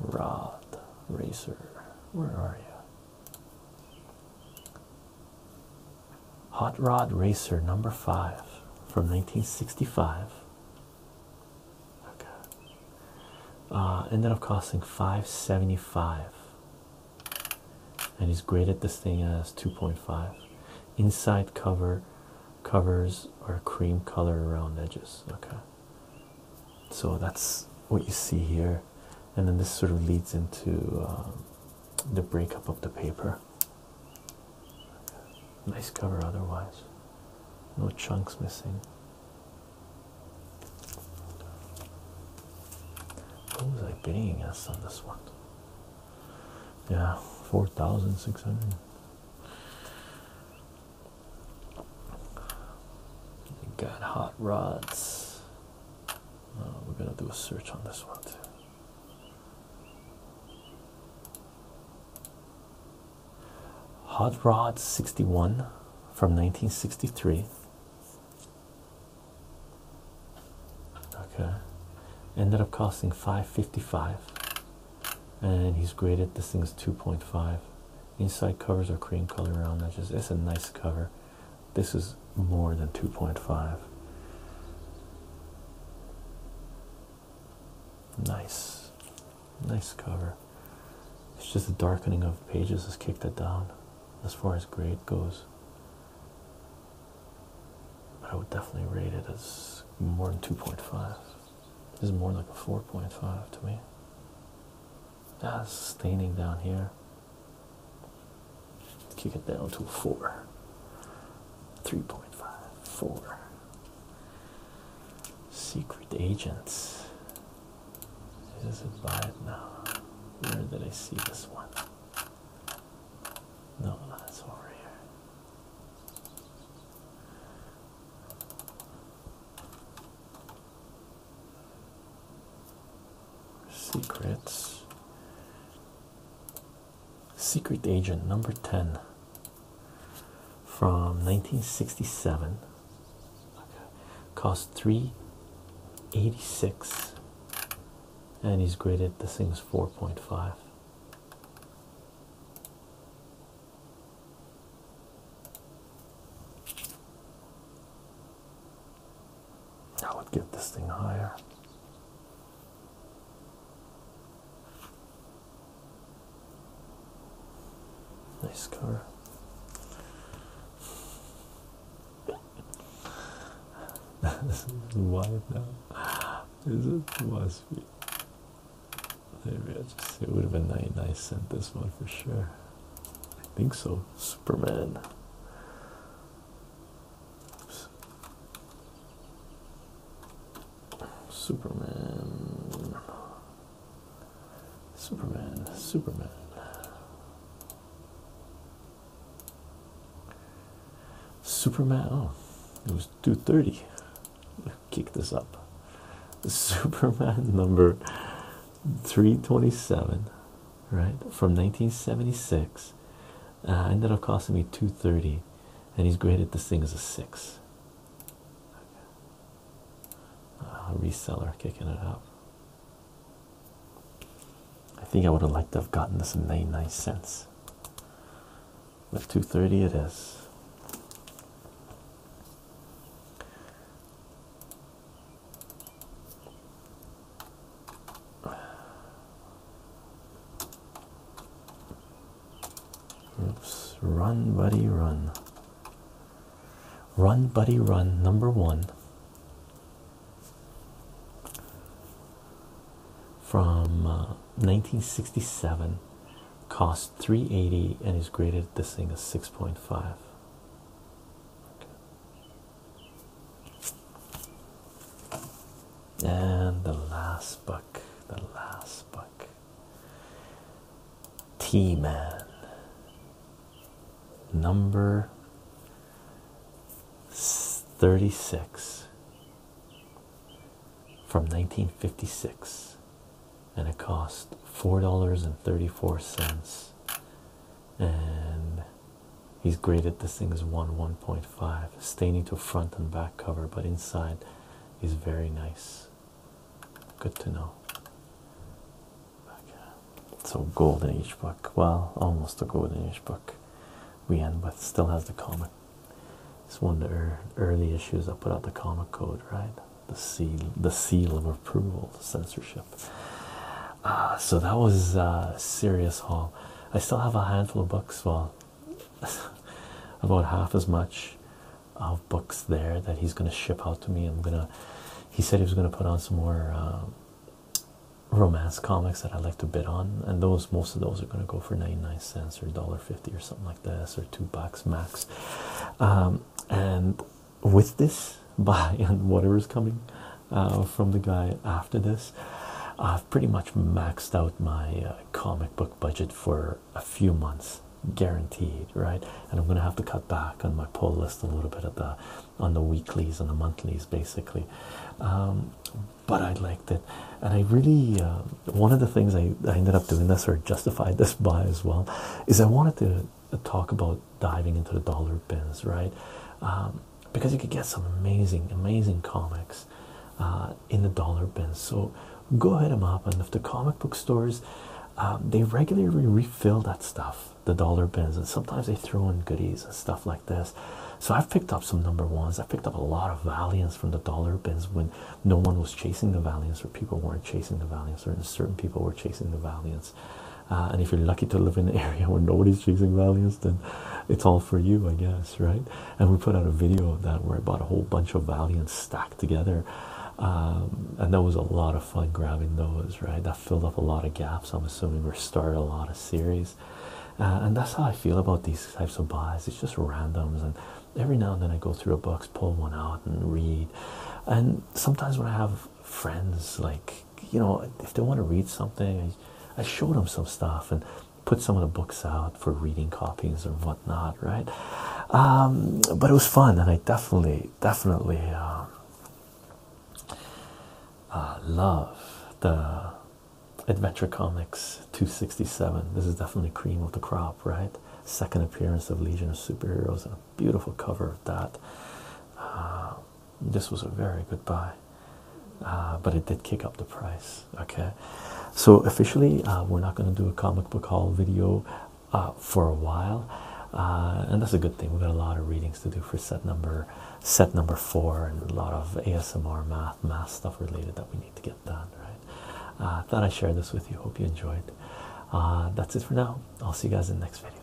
Rod Racer. Where are you? Hot Rod Racer number five from 1965. Okay. Uh, ended up costing 575 and he's graded this thing as 2.5 inside cover covers are cream color around edges okay so that's what you see here and then this sort of leads into um, the breakup of the paper nice cover otherwise no chunks missing what was I bidding us on this one? Yeah, 4,600. Got hot rods. Uh, we're gonna do a search on this one too. Hot Rod 61 from 1963. Okay. Ended up costing 555. And he's graded this thing's 2.5. Inside covers are cream color round edges. It's a nice cover. This is more than 2.5. Nice, nice cover. It's just the darkening of pages has kicked it down as far as grade goes. I would definitely rate it as more than 2.5. This is more like a 4.5 to me. That's staining down here. Kick it down to a four. Three point five four. Secret agents. is it by now. Where did I see this one? No, that's over here. Secrets. Secret Agent number 10 from 1967. Cost 386. And he's graded this thing's 4.5. I would get this thing higher. Nice car. this is *laughs* wide now. Is it must be? Maybe I just it would have been 99 cent this one for sure. I think so. Superman. Superman. Superman. Superman. Superman. Oh, it was 230. Kick this up. *laughs* Superman number 327 right from 1976 uh, ended up costing me 230 and he's graded this thing as a six uh, reseller kicking it up I think I would have liked to have gotten this in 99 cents but 230 it is Oops. Run, buddy, run. Run, buddy, run. Number one from 1967 uh, cost 380 and is graded this thing as 6.5 and the last book, the last book. T Man number 36 from 1956 and it cost four dollars and 34 cents and He's graded this thing as 1 1.5, staining to front and back cover, but inside is very nice. Good to know. Okay. So, gold in each book. Well, almost a gold in each book. We end with still has the comic. It's one of the early issues I put out the comic code, right? The seal, the seal of approval, the censorship. Uh, so that was a uh, serious haul. I still have a handful of books, well, *laughs* about half as much of books there that he's going to ship out to me. I'm going to, he said he was going to put on some more um, romance comics that i like to bid on, and those, most of those are going to go for 99 cents or $1.50 or something like this, or two bucks max. Um, and with this, *laughs* buy and whatever is coming uh, from the guy after this. I've pretty much maxed out my uh, comic book budget for a few months, guaranteed, right? And I'm gonna have to cut back on my pull list a little bit at the on the weeklies and the monthlies, basically. Um, but I liked it, and I really uh, one of the things I, I ended up doing this or justified this *laughs* by as well is I wanted to talk about diving into the dollar bins, right? Um, because you could get some amazing, amazing comics uh, in the dollar bins. So go hit them up. And if the comic book stores, um, they regularly refill that stuff, the dollar bins, and sometimes they throw in goodies and stuff like this. So I've picked up some number ones. I picked up a lot of Valiants from the dollar bins when no one was chasing the Valiants, or people weren't chasing the Valiants, or certain people were chasing the Valiants. Uh, and if you're lucky to live in an *laughs* area where nobody's chasing valiants, then it's all for you, I guess, right? And we put out a video of that where I bought a whole bunch of Valiants stacked together. Um, and that was a lot of fun grabbing those, right? That filled up a lot of gaps, I'm assuming, or started a lot of series. Uh, and that's how I feel about these types of buys. It's just randoms. And every now and then I go through a box, pull one out, and read. And sometimes when I have friends like you know, if they want to read something, I, I showed them some stuff and put some of the books out for reading copies or whatnot, right? Um, but it was fun, and I definitely, definitely um, uh, love the Adventure Comics 267. This is definitely cream of the crop, right? Second appearance of Legion of Superheroes, a beautiful cover of that. Um, this was a very good buy, uh, but it did kick up the price. Okay, so officially, uh, we're not going to do a comic book haul video uh, for a while, and that's a good thing. We've got a lot of readings to do for set number set number four, and a lot of ASMR math math stuff related that we need to get done. Right? Uh, thought I'd share this with you. Hope you enjoyed. that's it for now. I'll see you guys in the next video.